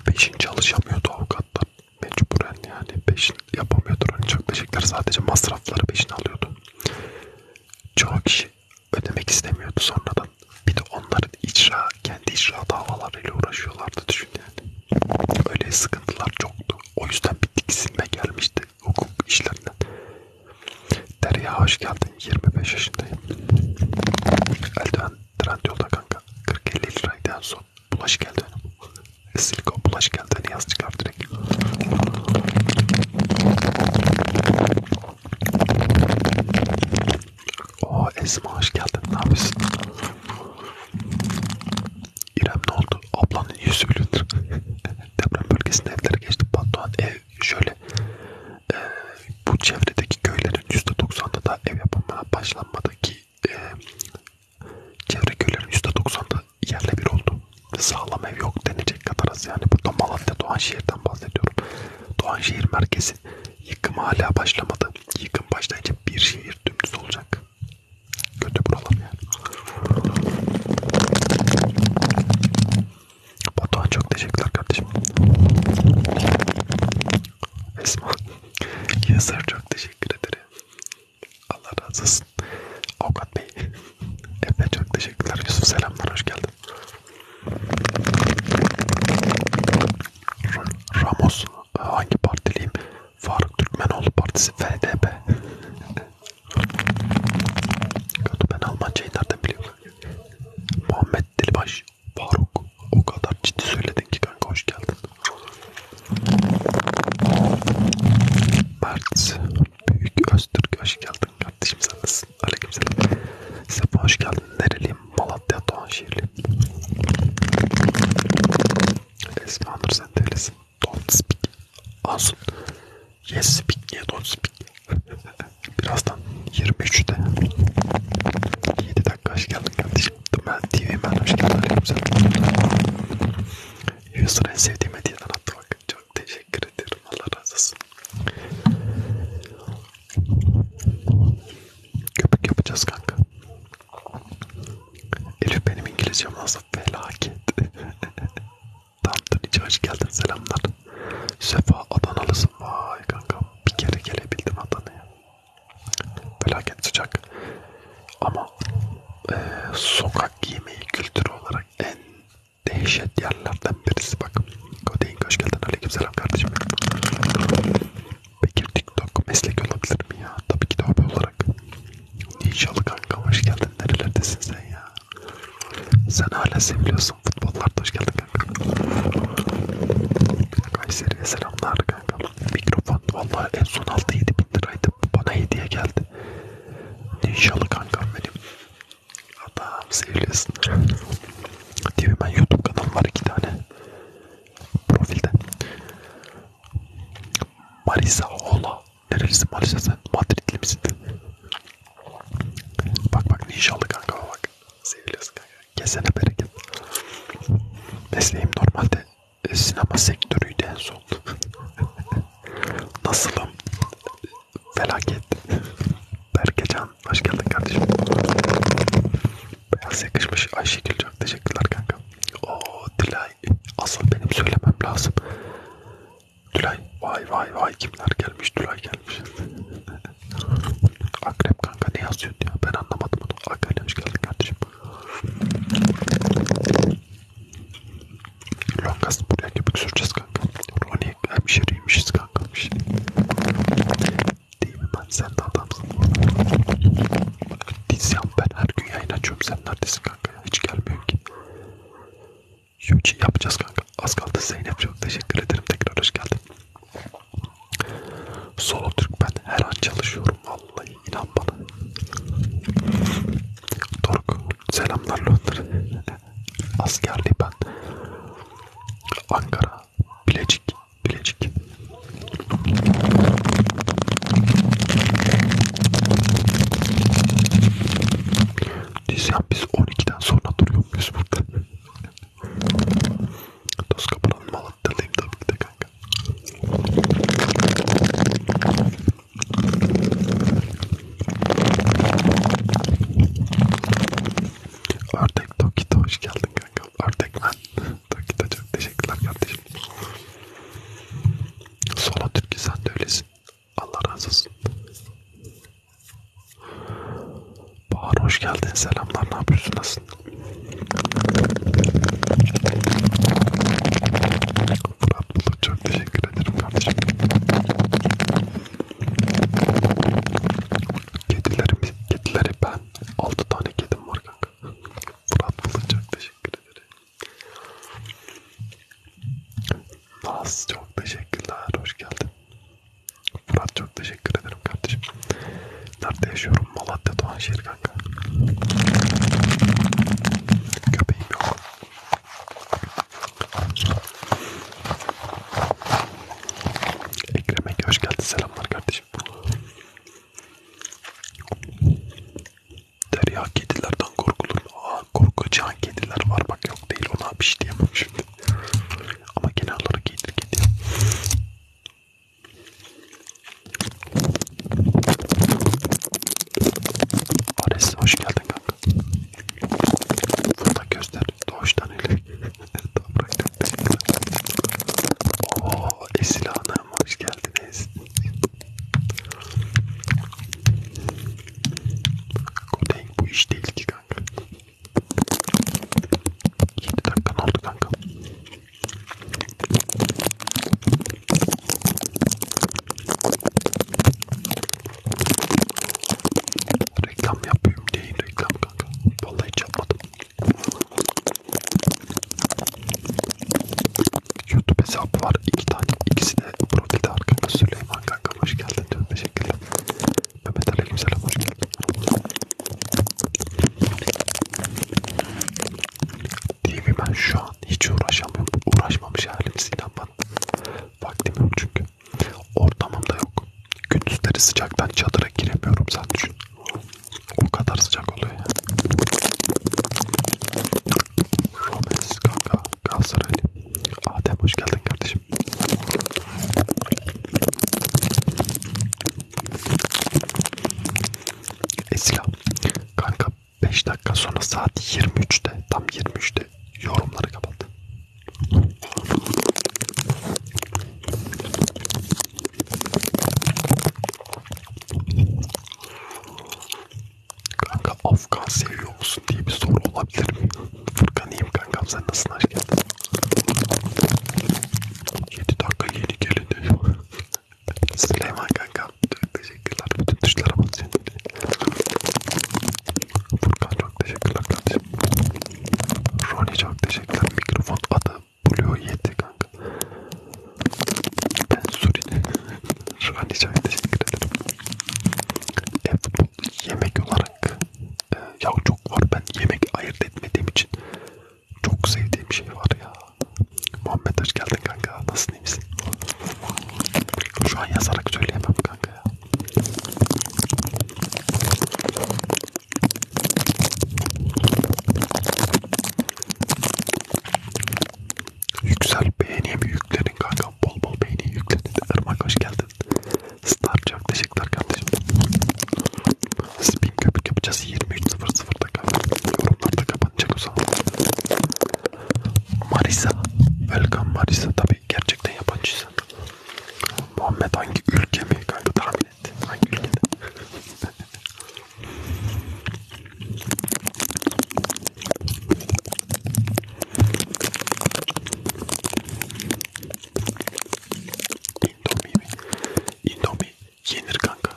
Beşin çalışamıyordu avukatlar. Mecburen yani beşin yapamıyordu. Ancak hani beşikler sadece masrafları beşin alıyordu. Çoğu kişi ödemek istemiyordu sonradan. Bir de onların icra, kendi icra davalarıyla uğraşıyorlardı düşün yani. Öyle sıkıntılar çoktu. O yüzden bir tiksinme gelmişti hukuk işlerinden. Derya hoş geldin. 25 yaşındayım. Eldiven Trendyol'da kanka 40-50 liraydı en son. Bulaş geldi önüm. Silikon bulaş geldi önü hani yaz çıkar direkt. Oo Esma hoş geldin ne yapıyorsun? İrem ne oldu? Ablanın yüzü gülündür. Deprem bölgesinde evlere geçti. Batuhan ev şöyle. E, bu çevredeki köylerin %90'ında da ev yapımına başlanmadı ki e, çevre köylerin %90'ı yerle bir oldu. Sağlam ev yok denecek kadar az yani. Burada Malatya Doğanşehir'den bahsediyorum. Doğanşehir merkezi yıkım hala başlamadı. Yıkım başlayınca bir şehir dümdüz olacak. Kötü buralar yani. Batuhan çok teşekkürler kardeşim. Esma. Yazar çok teşekkür ederim. Allah razı olsun. Avukat Bey. Evet çok teşekkürler. Yusuf selamlar hoş geldin. Ramos e, hangi partiliyim? Faruk Türkmenoğlu Partisi FDP. ben Almancayı nereden biliyorum? Muhammed Dilbaş Faruk o kadar ciddi söyledin ki kanka hoş geldin. Mert Büyük Öztürk hoş geldin kardeşim sen nasılsın? Aleykümselam. Sefa hoş geldin. Nereliyim? Malatya Doğanşehirliyim. Esma Nur sen de öylesin. Don't speak. Asun. Yes speak niye don't speak? Birazdan 23'te 7 dakika hoş geldin kardeşim. Tıma TV benim şeyler yapacağım. en sevdiğim hediyeden attı bak. Çok teşekkür ederim. Allah razı olsun. Köpük yapacağız kanka. Elif benim İngilizcem nasıl felaket. Tamamdır İçi hoş geldin selamlar. Sefa Adanalısın vay kanka. Bir kere gelebildim Adana'ya felaket sıcak ama e, sokak giyimi kültürü olarak en dehşet yerlerden birisi bak Kodeyin hoş geldin aleykümselam kardeşim Bekir TikTok meslek olabilir mi ya tabii ki de abi olarak Ninjalı kanka hoş geldin nerelerdesin sen ya sen hala seviyorsun futbollarda hoş geldin kanka Kayseri'ye selamlar kanka Mikrofon vallahi en son 6-7 bin liraydı. Bana hediye geldi. İnşallah kankam benim. Adam seviyorsun. Diyor ben YouTube kanalım var iki tane. Profilde. Marisa Ola. Nerelisin Marisa sen? Madridli misin? Bak bak inşallah kanka bak. Seviyorsun kanka. Kesene bereket. Mesleğim normalde e, sinema sektörüydü en son. Nasılım? Felaket. Berkecan hoş geldin kardeşim. Beyaz yakışmış. Ayşegül çok teşekkürler kanka. Oo Dilay. Asıl benim söylemem lazım. Dilay vay vay vay kimler gelmiş Dilay gelmiş. Akrep kanka ne yazıyordu ya ben anlamadım onu. Akrep hoş geldin kardeşim. Longas buraya köpük süreceğiz kanka. Ronnie hemşireymişiz kanka. Değil mi ben sen de adamsın. Dizyan ben her gün yayın açıyorum. Sen neredesin kanka ya? Hiç gelmiyor ki. Yuji yapacağız kanka. Az kaldı Zeynep çok teşekkür ederim. Tekrar hoş geldin. Solo Türk ben her an çalışıyorum vallahi inan bana. Doruk selamlar Londra. Askerli ben. Ankara, Bilecik, Bilecik. Dizyan biz 12'den sonra duruyor muyuz burada? Dost kapıdan Malatya'dayım tabii ki de kanka. Ördek Tokito hoş geldin kanka. Ördek ben. Tokito çok teşekkürler kardeşim. Sola Türk'ü sen de öylesin. Allah razı olsun. Bahar hoş geldin. Selamlar. Ne yapıyorsun? Nasılsın? Fırat Bulut çok teşekkür ederim kardeşim. Kedilerimiz, kedileri ben. 6 tane kedim var kanka. Fırat Bulut çok teşekkür ederim. Naz çok teşekkürler. Hoş geldin. Fırat çok teşekkür ederim kardeşim. Nerede yaşıyorum? Malatya Doğanşehir kanka. Köpeğim yok. Ekrem Ege hoş geldin. Selamlar kardeşim. Derya kedilerden korkulur. Aa korkacağın kediler var bak yok değil ona bir şey diyemem şimdi. Ama genel olarak iyidir kedi. Ares hoş geldin kanka. Fırtak göster. Doğuştan öyle. Tam bıraktım. Ooo Esil Hanım hoş geldiniz. Kodeng bu iş değil ki kanka. 7 dakika oldu kanka. Reklam yapıyorum diye reklam kanka. Vallahi hiç yapmadım. YouTube hesabı var iki tane. İkisi de profilde arkada Süleyman kanka hoş geldin diyorum. Teşekkürler. Mehmet Aleykümselam hoş geldin. Değil mi ben şu an hiç uğraşamıyorum. Uğraşmamış halimiz inanmadım. Vaktim yok çünkü. Ortamım da yok. Gündüzleri sıcaktan çadıra giremiyorum sen düşün. O kadar sıcak oluyor ya. Romes kanka Galatasaraylı. Adem hoş geldin kardeşim. Esra kanka 5 dakika sonra saat 23'te tam 23'te yorumları kapattı. Kanka Afgan seviyor musun diye bir soru olabilir mi? Furkan iyiyim kankam sen nasılsın aşkım? 7 dakika yeni geldi. Süleyman kanka teşekkürler bütün tuşlara basın. Furkan çok teşekkürler kardeşim. Roni çok teşekkürler. Mikrofon adı Blue 7 kanka. Ben Suri'nin Roni çok teşekkür ederim. Evet yemek olarak e, ya çok var ben yemek ayırt etmediğim için çok sevdiğim şey var ya. Muhammed hoş geldin kanka. Nasılsın iyi misin? Şu an yazarak söyleyemem kanka ya. Yüksel beğeniye mi yüklerin kanka? Bol bol beğeniye yüklenin. Irmak hoş geldin. Star çok teşekkürler kardeşim. Spin köpük yapacağız 23.00 yorumlarda yorumlarda kapanacak o zaman. Marisa. Welcome Marisa. Tabi gerçekten yabancısın. Muhammed hangi ülke mi? Kanka tahmin et. Hangi ülkede? İndomie mi? İndomie. Yenir kanka.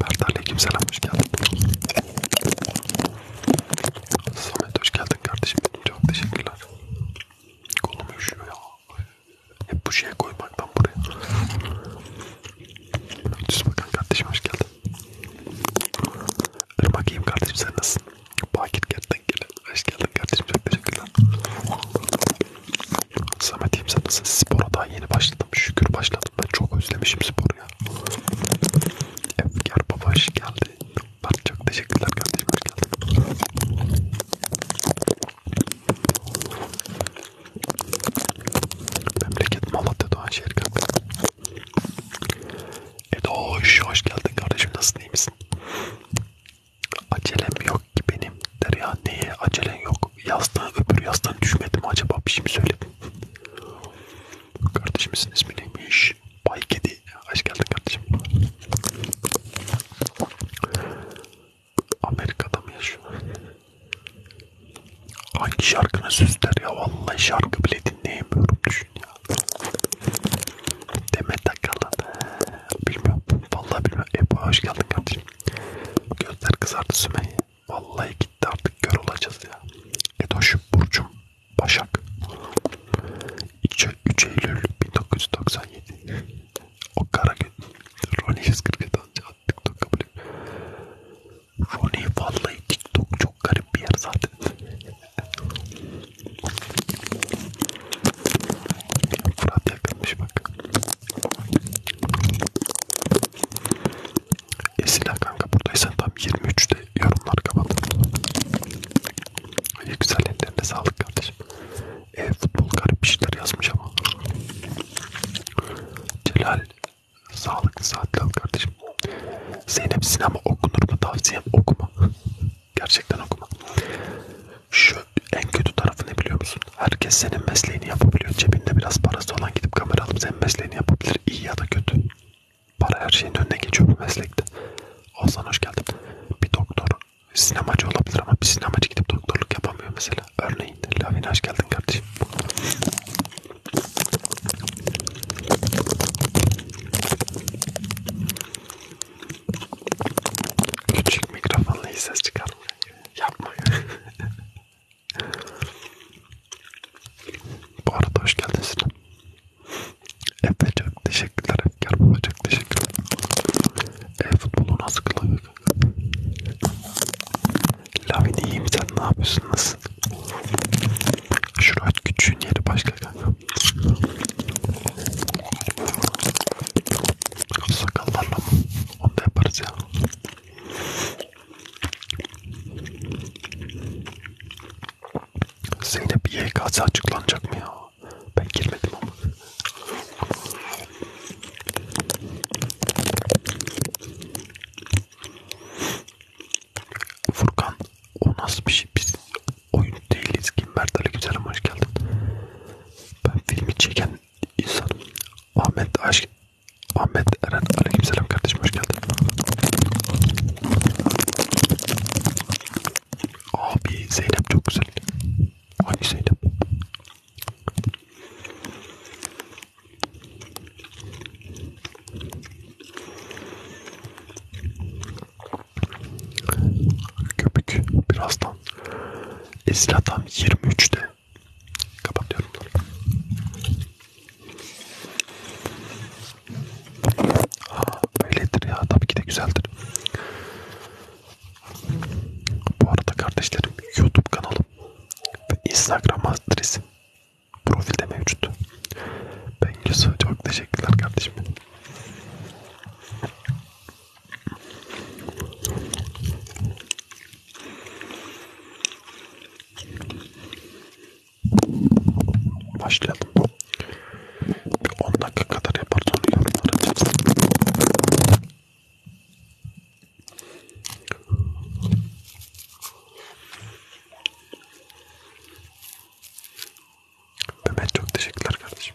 Berdar'la kimse hoş geldin. Samet hoş geldin kardeşim. Çok teşekkürler. Kolum üşüyor ya. Hep bu şeye koymaktan buraya. Düz bakan kardeşim hoş geldin. Irmak iyiyim kardeşim sen nasılsın? Bakir Gert'ten gel. Hoş geldin kardeşim çok teşekkürler. Samet diyeyim sen nasıl? Spora daha yeni başladım. Şükür başladım. Ben çok özlemişim sporu ya. Efkar babaş geldi. Ben çok teşekkürler kardeşim. Hoş geldin. Memleket Malatya Doğanşehir kanka. Edoş hoş geldin kardeşim. Nasılsın iyi misin? Acelem yok ki benim der ya neye acelen yok yastığa öbür yastığa düşmedim acaba bir şey mi söyledim kardeşimizin ismi neymiş Bay Kedi hoş geldin kardeşim Amerika'da mı yaşıyor hangi şarkını süsler ya vallahi şarkı bile dinleyemiyorum düşün ya Demet Akalın bilmiyorum vallahi bilmiyorum Ebu hoş geldin kardeşim Gözler kızardı Sümeyye. Vallahi gitti artık kör olacağız ya. Edoş Burcum Başak. 3, 3 Eylül 1997. o kara gün. Roni 147 TikTok kabul Roni vallahi TikTok çok garip bir yer zaten. Fırat yakınmış bak. Esila kanka buradaysan tam 23'te yorumlar kapat. Güzel ellerine sağlık kardeşim. E, futbol garip bir şeyler yazmış ama. Celal sağlıklı saatler kardeşim. Zeynep sinema okunur mu tavsiyem okuma. Gerçekten okuma. Şu en kötü tarafı ne biliyor musun? Herkes senin mesleğini yapabiliyor. Cebinde biraz parası olan gidip kamera alıp senin mesleğini yapabilir. İyi ya da kötü. Para her şeyin önüne geçiyor bu meslekte. Ozan hoş geldin. Bir doktor sinemacı olabilir ama bir sinemacı gidip doktorluk yapamıyor mesela. Örneğin Lavina hoş geldin kardeşim. Küçük mikrofonla iyi ses çıkarmıyor. Yapma ya. Bu arada hoş geldin Sinan. Efe çok teşekkürler. Efkar baba çok teşekkürler. E futbolu nasıl kılıyor? Lavin iyiyim sen ne yapıyorsun nasıl? Şurayet küçüğün yeri başka kanka. Sakallarla mı? Onu da yaparız ya. Zeynep YKS açıklanacak mı ya? Ben girmedim ama. Furkan o nasıl bir şey biz oyun değiliz ki Mert Ali Güzel'e hoş geldin. Ben filmi çeken insanım. Ahmet Aşk, Ahmet Eren aleykümselam kardeşim hoş geldin. Abi Zeynep çok güzel. Hangi Zeynep? Köpük birazdan Esra'dan 23'te Kapatıyorum. Ha, öyledir ya. Tabii ki de güzeldir. Bu arada kardeşlerim YouTube kanalım ve Instagram adresim profilde mevcut. Ben Yusuf çok teşekkürler kardeşim. Başlayalım. Bir 10 dakika kadar yapar sonra yorumlar açarız. Mehmet çok teşekkürler kardeşim.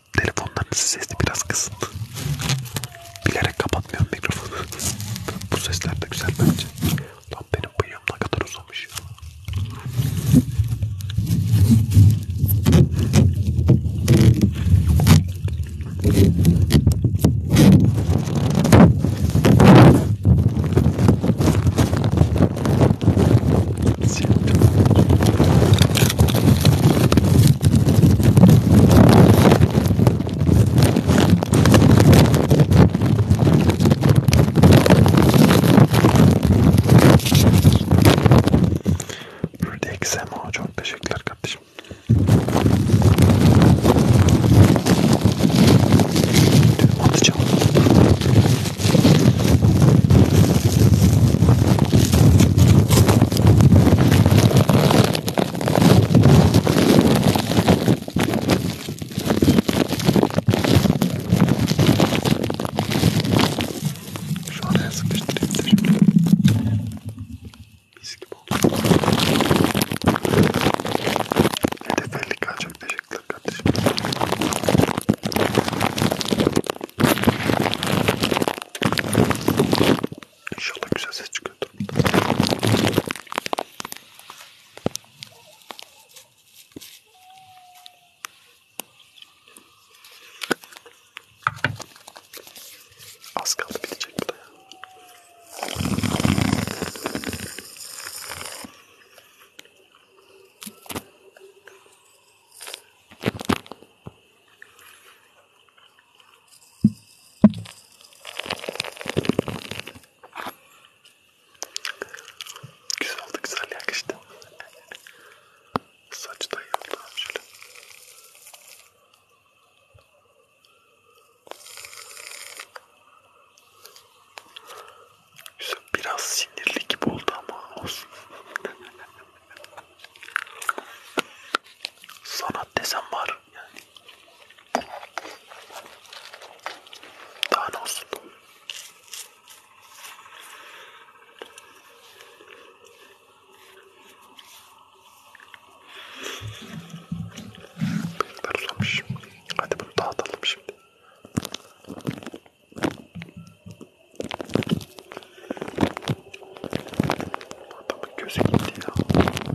telefonlarınızı sesli biraz kısın. Bilerek kapatmıyorum mikrofonu. Bu sesler de güzel bence. Lan benim bıyığım ne kadar uzamış. Rexema çok teşekkürler kardeşim. Atacağım. Şu araya sıkıştırayım da şimdi. Mis gibi oldu. Hedefellik çok teşekkürler kardeşim. İnşallah güzel ses çıkıyordur. Az kaldı bitecek bu da ya. Güzel oldu, güzel yakıştı. Saç da iyi şöyle. Güzel, biraz sinirli gibi oldu ama olsun. Sanat desem var oldum yani. Daha ne olsun? Böyle uzamış. Hadi bunu dağıtalım şimdi. Adamın gözü gitti ya.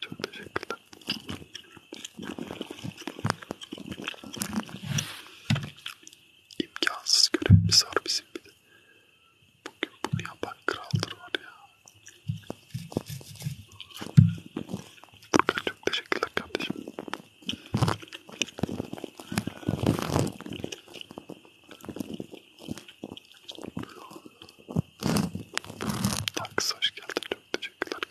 Çok teşekkürler. İmkansız görevimiz var bizim bir de. Bugün bunu yapan kraldır var ya. Burkan çok teşekkürler kardeşim. Taks hoş geldin çok teşekkürler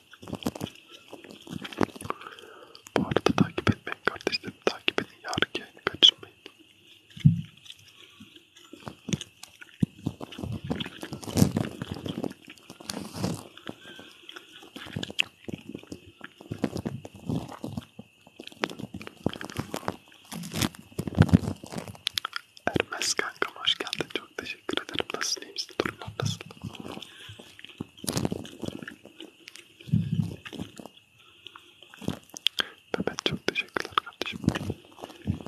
Bu arada takip etmeyin kardeşlerim. Takip edin. Yarınki yayını kaçırmayın. Ermez kankam hoş geldin çok teşekkür ederim. Nasılsın? İyi misin? Durumlar nasıl? Mehmet çok teşekkürler kardeşim. Güzel güzel.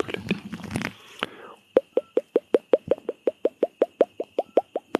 Böyle değil.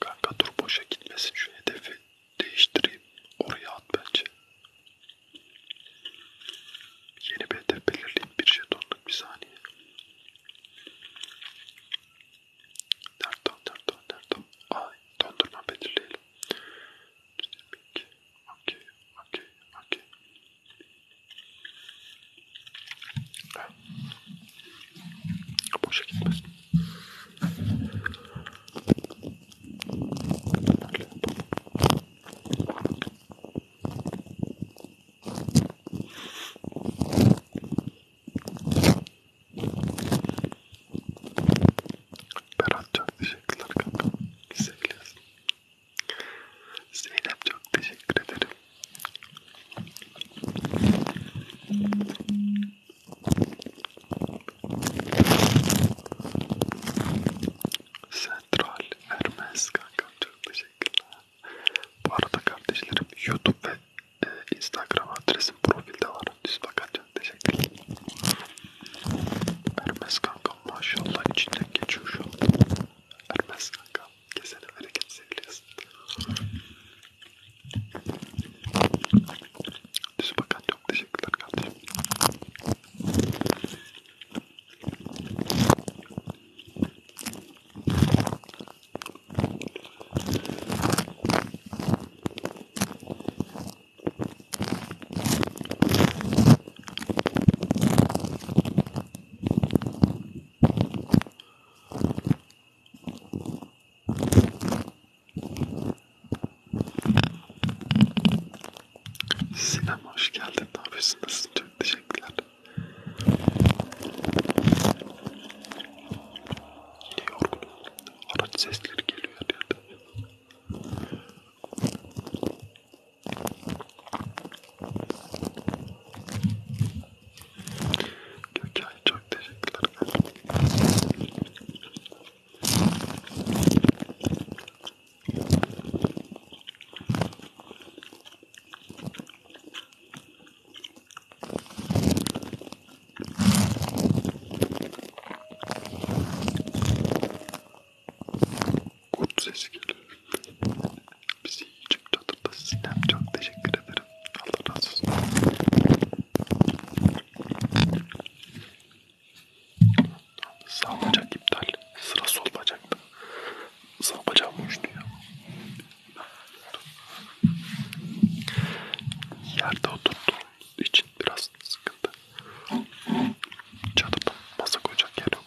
Kanka dur boşa gitmesin şu hedefi değiştireyim. Oraya at bence. Yeni bir hedef belirleyeyim. Bir jetonluk bir saniye. Nerede o? Nerede o? Nerede o? Ay dondurma belirleyelim. Okey. Okey. Okey. Boşa gitmez. Berat çok teşekkürler kanka. Sevgiler. Zeynep çok teşekkür ederim. Central Hermes kankam çok teşekkürler. Bu arada kardeşlerim YouTube ve e, Instagram adresim profilde var. Düz bakacağım. Teşekkürler. Hermes kankam maşallah içinden geçiyor şu an. Hermes kankam. Güzel hareket seviyorsun. Düz bakan çok teşekkürler kardeşim. Sinem hoş geldin. Ne yapıyorsun? Nasılsın? Çok teşekkürler. Yine yorgunum. Araç sesleri geliyor her yerden. Gökay çok teşekkürler. Kurt sesi geliyor. Bizi küçük çatıda sinem çok teşekkür ederim. Allah razı olsun. Sağ bacak iptal. Sıra sol bacaktı. Sağ bacağım uçtu ya. Yerde oturduğum için biraz sıkıntı. Çadırda masa koyacak yer yok.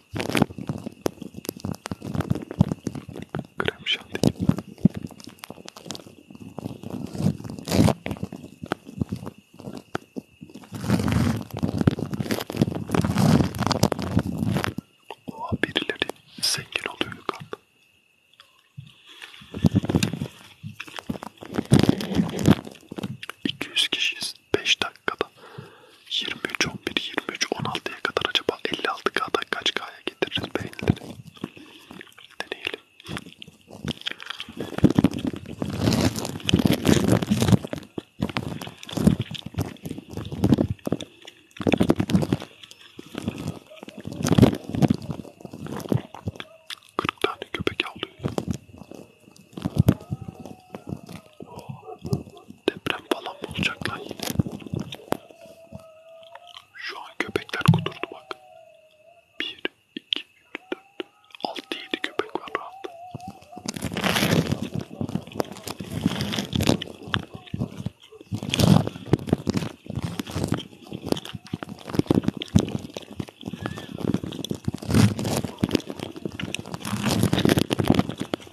Krem şanti gibi. Oha birileri zengin oluyor yukarıda. İki yüz kişiyiz. Beş tane dakikada. 23, 11, 23, 16'ya kadar acaba 56K'da kaç K'ya getiririz beğenileri? Deneyelim. Kırk tane köpek avlıyor. Deprem falan mı olacak lan yine? Şu an köpekler kudurdu bak. 1, 2, 3, 4, 6, 7 köpek var rahat.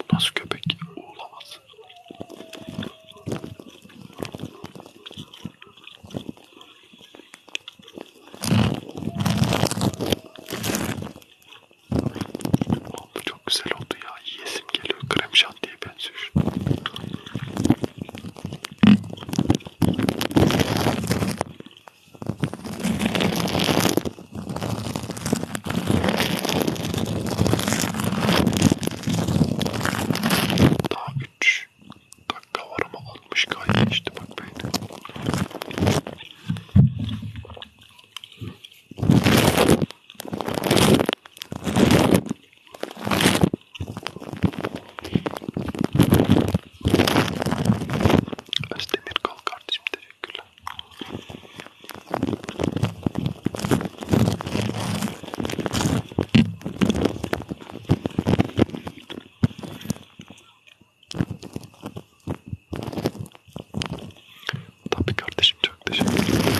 Bu nasıl köpek? Uğulamaz. Bu çok güzel oldu ya. Yesim geliyor. Krem şantiye benziyor. Daha 3 dakika var ama 60 kaydı işte bak beyni. Özdemir kal kardeşim dedi. Teşekkürler. Tabii kardeşim çok teşekkür ederim.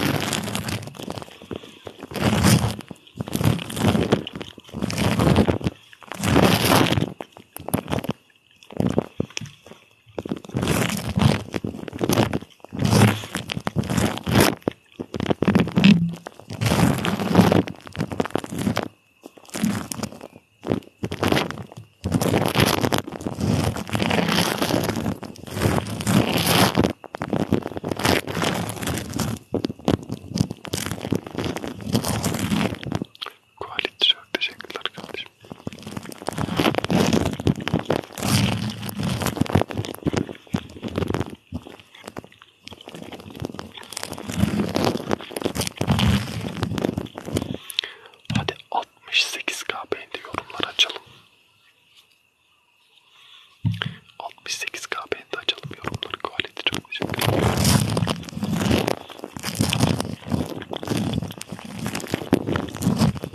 Kuali çok teşekkürler kardeşim. Hadi 68k beğendi yorumlar açalım. 68k beğendi açalım yorumları kuvveti çok teşekkür ederim.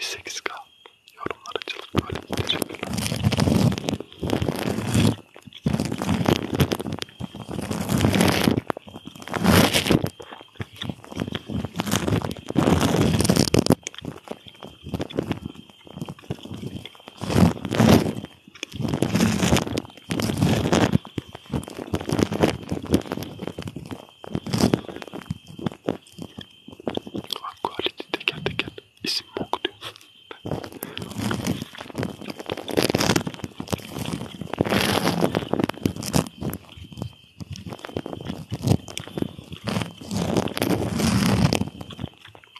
68k yorumlar açılıp böyle teşekkürler. Bak ah, quality teker teker isim bok diyor.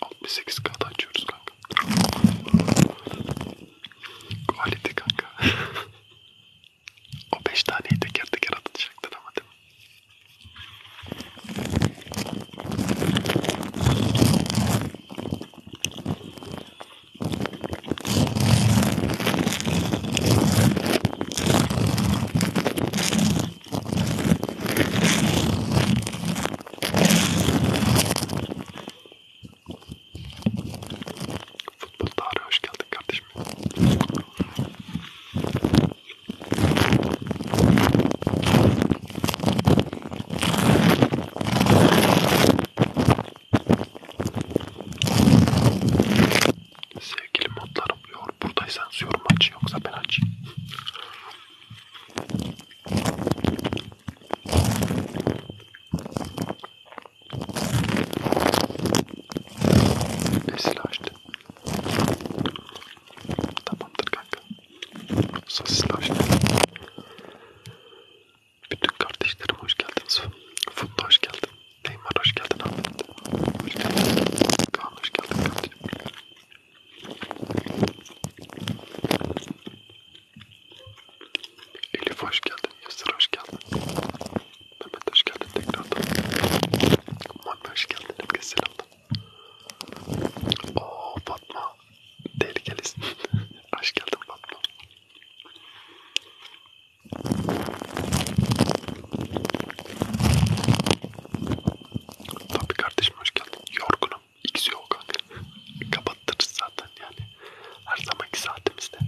Altmış sekiz kat açıyoruz kanka. Quality kanka. O beş taneyi teker teker atacaktın ama değil mi? Futbol tarihine hoş geldin kardeşim. Sevgili modlarım, yor, buradaysan yorum aç yoksa ben açayım. Vesile açtı. Tamamdır kanka. Sosisli hoş geldin. Bütün kardeşlerim hoş geldiniz. Futbol hoş geldin. Neymar hoş geldin abi. Hoş geldin. Kaan hoş geldin kardeşim. Elif hoş geldin. Yasir hoş geldin. Mehmet hoş geldin tekrardan. Mami hoş geldin. Herkese selamlar. Ooo Fatma. Tehlikelisin. hoş geldin Fatma. Tabii kardeşim hoş geldin. Yorgunum. İkisi yok kanka. Kapattırız zaten yani. Her zamanki saatimizde.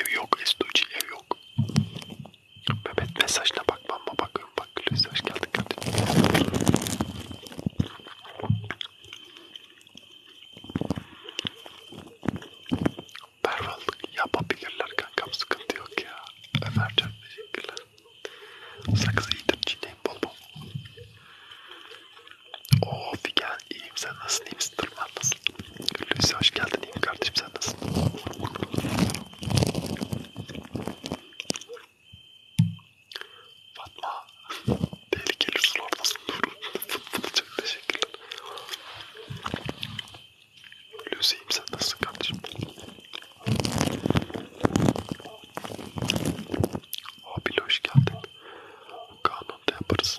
Ev yok, estoji ev yok. Mehmet mesajına bakmam mı bakıyorum bak mesaj geldi geldi. Berballık yapabilirler kankam sıkıntı yok ya. Ömercan teşekkürler. Sakız iyidir çiğneyim bol bol. Oo Figen iyiyim sen nasılsın iyi misin? Durman nasıl? Hulusi hoş geldin. İyiyim kardeşim sen nasılsın? Fatma. Tehlikeli sulardasın. Çok teşekkürler. Hulusi iyiyim sen nasılsın kardeşim? Abi hoş geldin. Kanunda yaparız.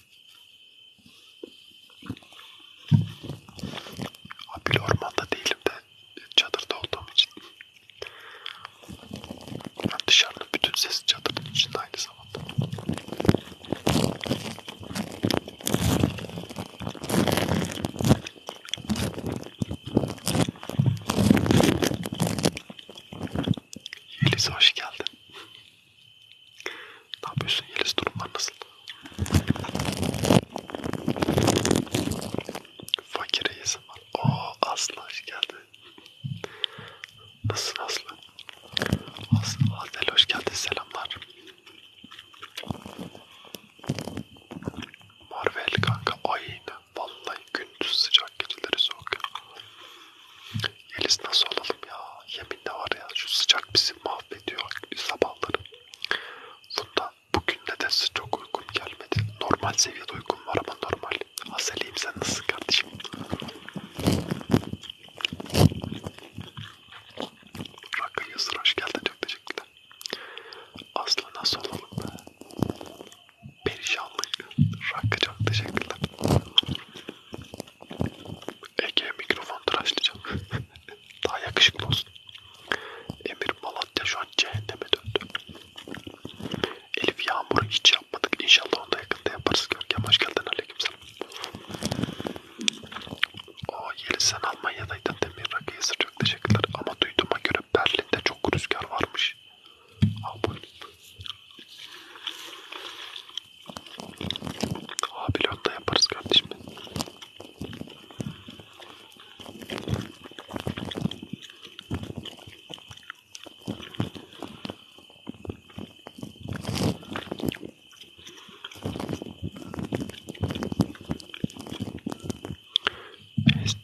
Abi ormanda değilim de çadırda olduğum için. Yani dışarının bütün sesi çadırın içinde aynı zamanda. Yeliz hoş geldin. Ne yapıyorsun Yeliz? Durumlar nasıl? Fakire yesim var. Ooo Aslı hoş geldin. Nasılsın Aslı? Aslı Adel hoş geldin. Selamlar. Marvel kanka aynı. Vallahi gündüz sıcak geceleri soğuk. Yeliz nasıl olalım ya? Yemek vitaminde var ya. Şu sıcak bizi mahvediyor sabahları. Bunda bugün nedense çok uykum gelmedi. Normal seviyede uykum var ama normal. Azeliyim sen nasılsın kardeşim? Rakı yazır hoş geldin çok teşekkürler. Aslı nasıl olalım be? Perişanlık. Rakı çok teşekkürler. Ege mikrofon tıraşlayacağım. Daha yakışıklı olsun. Emir Malatya şu an cehenneme döndü. Elif Yağmur hiç yapmadık. İnşallah onu da yakında yaparız. Görkem hoş geldin. Aleykümselam. O Yeliz sen Almanya'daydın demir rakıya çok teşekkürler. Ama duyduğuma göre Berlin'de çok rüzgar varmış. Abone Ha pilotta yaparız kardeşim.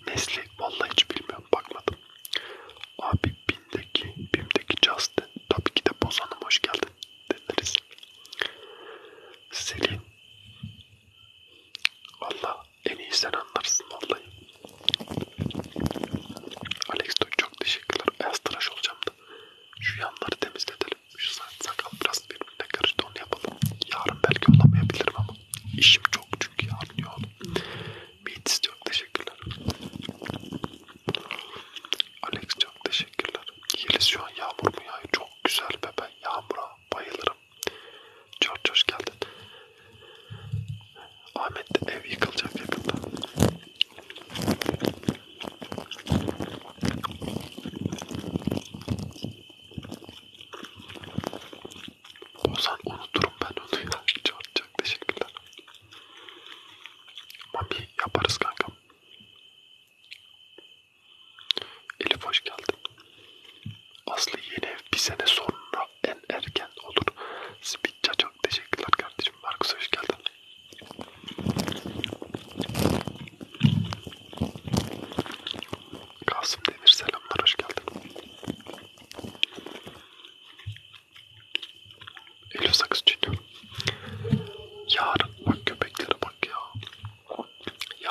Nesli vallahi hiç bilmiyorum bakmadım. Abi bimdeki bimdeki Justin tabii ki de Bozan'ım hoş geldin dediniz. Selin. Valla en iyi sen anlarsın vallahi. Alex Toy çok teşekkürler. Beyaz tıraş olacağım da. Şu yanları temizletelim. Şu sakal biraz birbirine karıştı onu yapalım. Yarın belki olamayabilirim ama. işim çok çünkü yarın yoğun. Meet istiyorum. Teşekkürler. Alex çok teşekkürler. Yeliz şu an yağmur mu yağıyor? Çok güzel be ben yağmura bayılırım. Çok hoş geldin. Ahmet ev yıkılacak yakında. Ozan unuturum ben onu ya. Çok çok teşekkürler. Mami yaparız kankam. Elif hoş geldin. Aslı yeni ev bir sene sonra en erken olur. Spitça çok teşekkürler kardeşim. Markus hoş geldin. Kasım Demir selamlar hoş geldin. Elif Sakız Yarın bak köpekleri bak ya.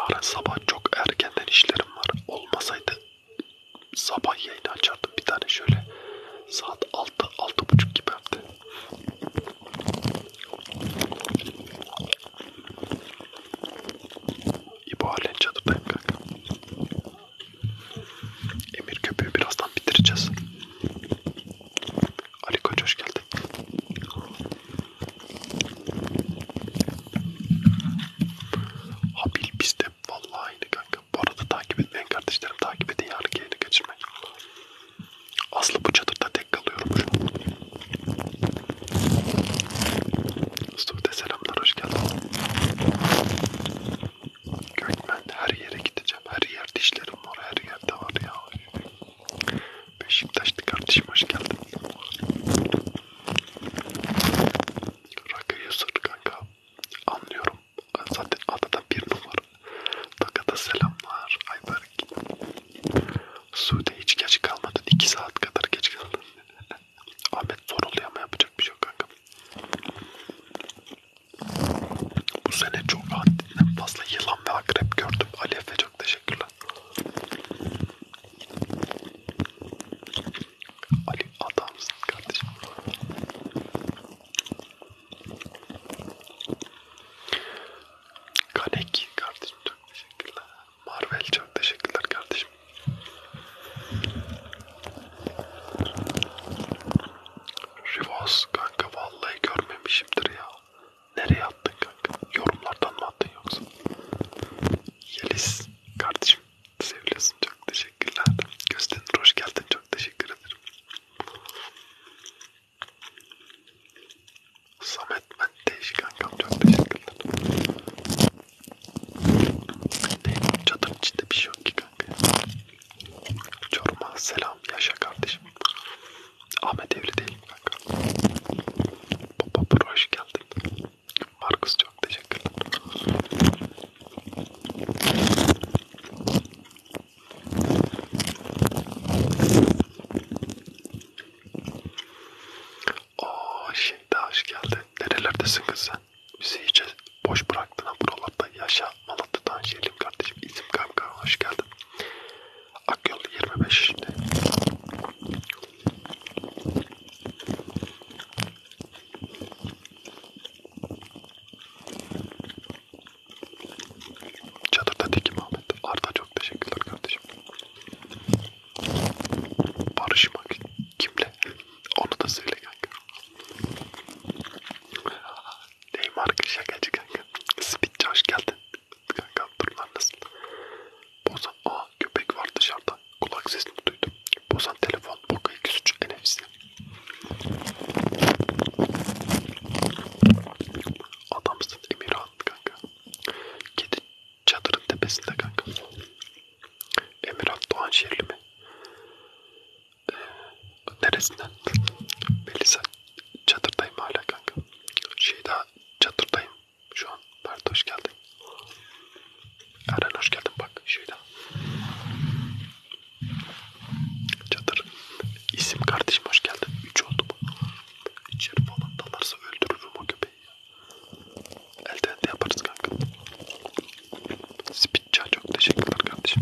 Yarın sabah çok erkenden işlerim var. Olmasaydı sabah yayını açardım bir tane şöyle. Saat 6, 6.30 gibi hem de. İbo halen çadırdayım kanka. Emir köpüğü birazdan bitireceğiz. Ali Koç hoş geldin. Habil bizde vallahi aynı kanka. Bu arada takip etmeyen kardeşlerim takip edin yarın yayını kaçırmayın. Aslı bu çadırda tek kalıyorum şu an. Sude selamlar hoş geldin. Gökmen her yere gideceğim. Her yer dişlerim var. Her yerde var ya. Beşiktaşlı kardeşim hoş geldin. Rakıyı sır kanka. Anlıyorum. Zaten adada bir numara. Takada selamlar. Ayberk. Sude hiç geç kalmadın. 2 saat kadar geç kaldın. Ahmet soruluyor ama yapacak bir şey yok kanka. Bu sene çok haddinden fazla yılan ve akrep gördüm. Ali Efe çok teşekkürler. Ali adamsın kardeşim. Kaleki kardeşim çok teşekkürler. Marvel çok teşekkürler kardeşim. Rivas kanka vallahi görmemişimdir ya nereye attın kanka? Yorumlardan mı attın yoksa? Yeliz kardeşim seviyorsun çok teşekkürler. Göstenir hoş geldin çok teşekkür ederim. Samet ben değişik kankam çok teşekkürler. Ne çadırın içinde bir şey yok ki kanka. Çoruma selam yaşa kardeşim. Ahmet evli değilim kanka. Papa Pro hoş geldin. Markus çok teşekkürler. Ooo şimdi hoş geldin. Nerelerdesin kız sen? Bizi hiç boş bıraktın ha buralarda yaşa. Malatya'dan şeyim kardeşim. İzim kanka hoş geldin. Akyol 25 şimdi. Çadırda tekim Ahmet. Arda çok teşekkürler kardeşim. Barışmak kimle? Onu da söyle kanka. Neymar şakacı kanka. Spitçi hoş geldin. Kanka durumlar nasıl? Bozan, aa köpek var dışarıda. Kulak sesini duydum. Bozan telefon, boka 203 NFC. Adamsın Emirhan kanka. Kedi çadırın tepesinde kanka. Emirhan Doğanşehirli mi? Ee, neresinden? Melisa çadırdayım hala kanka. Şey daha Hatta çatırdayım şu an. Pardon hoş geldin. Eren hoş geldin bak şöyle. Çatır. İsim kardeşim hoş geldin. 3 oldu mu? İçeri falan dalarsa öldürürüm o köpeği. Elden de yaparız kanka. Spitça çok teşekkürler kardeşim.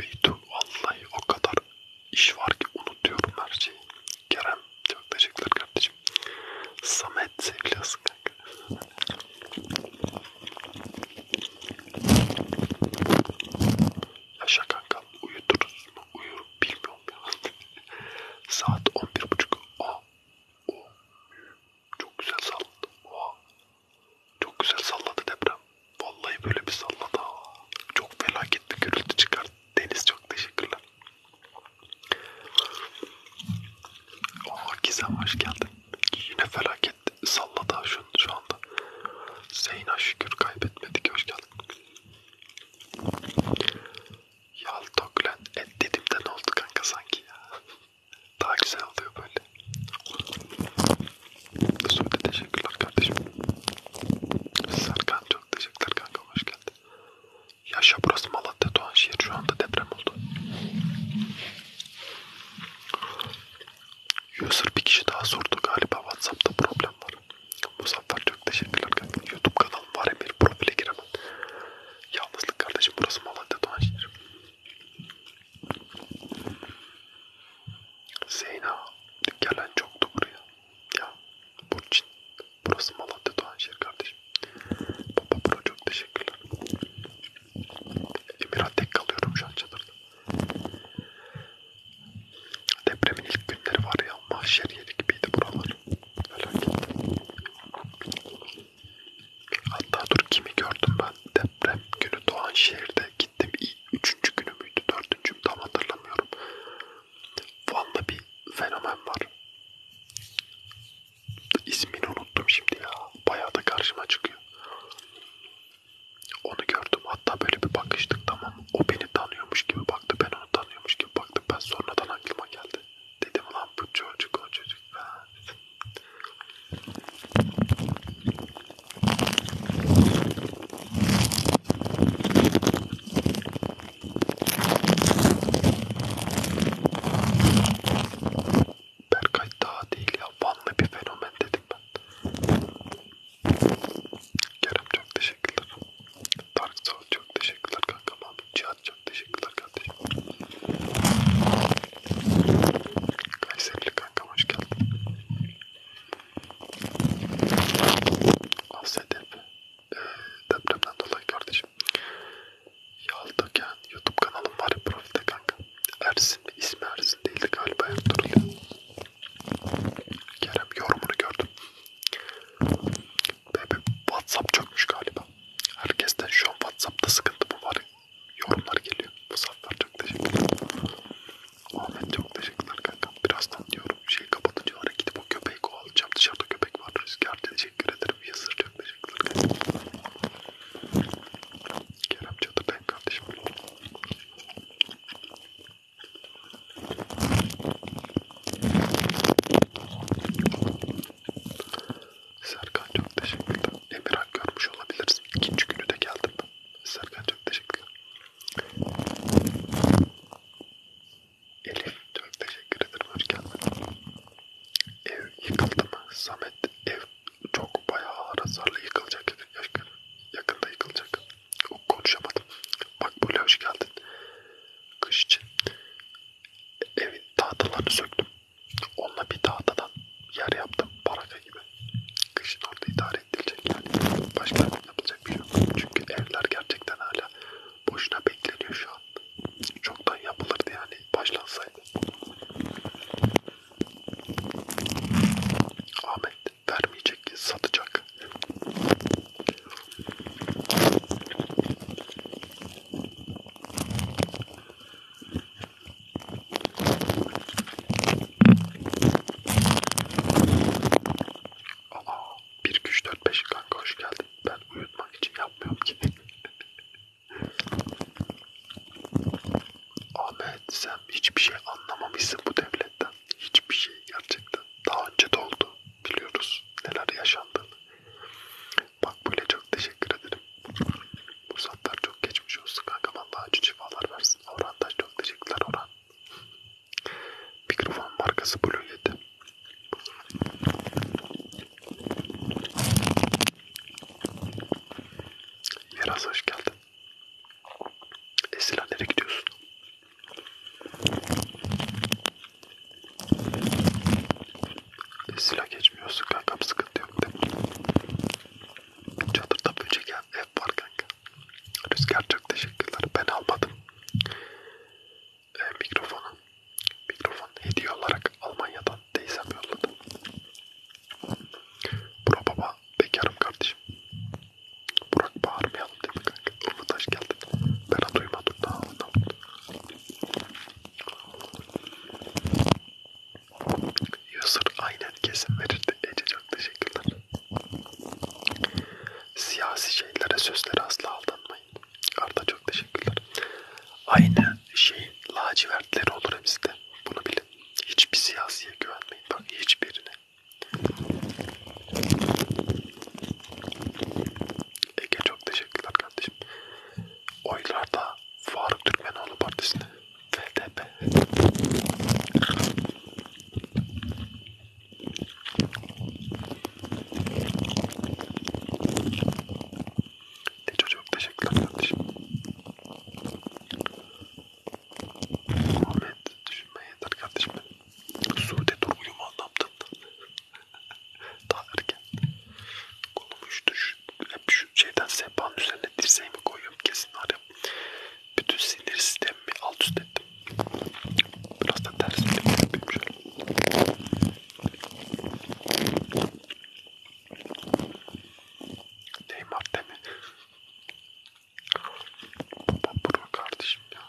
Beytun vallahi o kadar iş var ki unutuyorum her şeyi. Kerem çok teşekkürler kardeşim. Samet seviyorsun kanka. Yaşa kanka uyuturuz mu uyur bilmiyorum ya. Saat 11.30 buçuk. Aa, o, çok güzel sallandı. Oha, çok güzel salladı deprem. Vallahi böyle bir salladı. Çok felaket bir gürültü çıkar. Deniz çok teşekkürler. Aa Gizem hoş geldin. Yine felaket salladı şu, şu anda. Zeyna şükür kaybetmedik. Hoş geldin. Yaltoklen et dedim de ne oldu kanka sanki ya. Daha güzel oluyor böyle. Söyle teşekkürler kardeşim. Serkan çok teşekkürler kanka hoş geldin. Yaşa burası Malatya Doğanşehir şu anda deprem oldu. User bir kişi daha sordu galiba Whatsapp'ta problem var. Muzaffer çok teşekkürler kanka. Youtube kanalım var Emir profile giremem. Yalnızlık kardeşim burası Malatya Doğanşehir. Zeyna gelen çoktu buraya. Ya Burçin. Burası Malatya Doğanşehir kardeşim. Baba bro çok teşekkürler. Emirhan tek kalıyorum şu an çadırda. Depremin ilk günleri var ya mahşer yeri gibiydi buralar. Felaket. Hatta dur kimi gördüm ben deprem günü Doğanşehir'de gittim. Üçüncü günü müydü? Dördüncü mü? Tam hatırlamıyorum. Van'da bir fenomen var. İsmini unuttum şimdi ya. Bayağı da karşıma çıkıyor. Onu gördüm. Hatta böyle bir bakıştık tamam. O beni tanıyormuş gibi baktı. Ben onu tanıyormuş gibi baktım. Ben sonradan aklıma geldi. Dedim lan bu çocuk o çocuk. Ha. Berkay daha değil ya. Vanlı bir fenomen dedim ben. Kerem çok teşekkürler. Dark Soul çok teşekkürler kankam abi. Cihat çok teşekkürler kardeşim. Kayserili kanka hoş geldin. Afsedip e, ee, depremden dolayı kardeşim. Yaldıken YouTube kanalım var ya profilde kanka. Ersin ismi Ersin değildi galiba yaptırılıyor. Kerem yorumunu gördüm. Bebe WhatsApp çökmüş galiba. Herkesten şu an WhatsApp'ta sıkıntı mı var? yorumlar geliyor. Muzaffer çok teşekkürler. Ahmet çok teşekkürler kankam. Birazdan diyorum şeyi kapatınca oraya gidip o köpeği kovalayacağım. Dışarıda köpek var. Rüzgar teşekkür ederim. Yazır çok teşekkürler kankam. Kerem Çatı ben kardeşim. Serkan çok teşekkürler. Emirhan görmüş olabilirsin. İkinci günü de geldim ben. Serkan çok teşekkürler. Elif çok teşekkür ederim. Hoş geldin. Ev yıkıldı mı? Samet ev çok bayağı ağır hasarlı yıkılacak. Yakında yıkılacak. Konuşamadım. Bak böyle hoş geldin. Kış için evin tahtalarını söktüm. Onunla bir tahtadan yer yaptım. Paraka Kafe gibi. Kışın orada idare edilecek yani. Başka yapılacak bir şey yok. Çünkü evler gerçekten hala boşuna bekleniyor şu an. Çoktan yapılırdı yani başlansaydı. Ahmet vermeyecek, satacak. Aa, 1 2 3 4 5 kanka hoş geldin. Ben uyutmak için yapmıyorum ki. Ahmet sen hiçbir şey anlamamışsın bu devletten. Hiçbir şey gerçekten. Daha önce de oldu. Biliyoruz neler yaşandığını. Bak böyle çok teşekkür ederim. Bu saatler çok geçmiş olsun kanka. Vallahi acı şifalar versin neredesin? Orhan da çok teşekkürler Orhan. Mikrofon markası Blue Yeti. Yeraz hoş geldin. Esila nereye gidiyorsun? Esila geçmiyorsun kankam sıkıntı yok değil mi? Çadırda böcek ev var kanka. Rüzgar çok teşekkürler. Ben almadım. E, mikrofonu. Mikrofon hediye olarak Almanya'dan teyzem yolladı. Bura baba bekarım kardeşim. Burak bağırmayalım değil mi kanka? Umut hoş geldin. Bana duymadım daha ne oldu? Yusur aynen kesin verirdi. Ece çok teşekkürler. Siyasi şeylere sözlere asla aldanmayın. Arda çok teşekkürler. Aynı şeyin lacivertleri olur hepsinde. Bunu bilin. Hiçbir siyasiye güvenmeyin. Bak hiçbirine. Ege çok teşekkürler kardeşim. Oylarda Faruk Türkmenoğlu Partisi'ne de çok teşekkürler kardeşim. Muhammed düşünme yeter kardeşim. Sude dur uyuma anlamdın. Daha erken. Kolumu şu, hep şu şeyden sehpanın üzerine dirseğimi koyuyorum kesin var ya bütün sinir sistemimi alt üst ettim. Biraz da ters bir yapayım şöyle. Neymar değil mi? Baba bro kardeşim ya.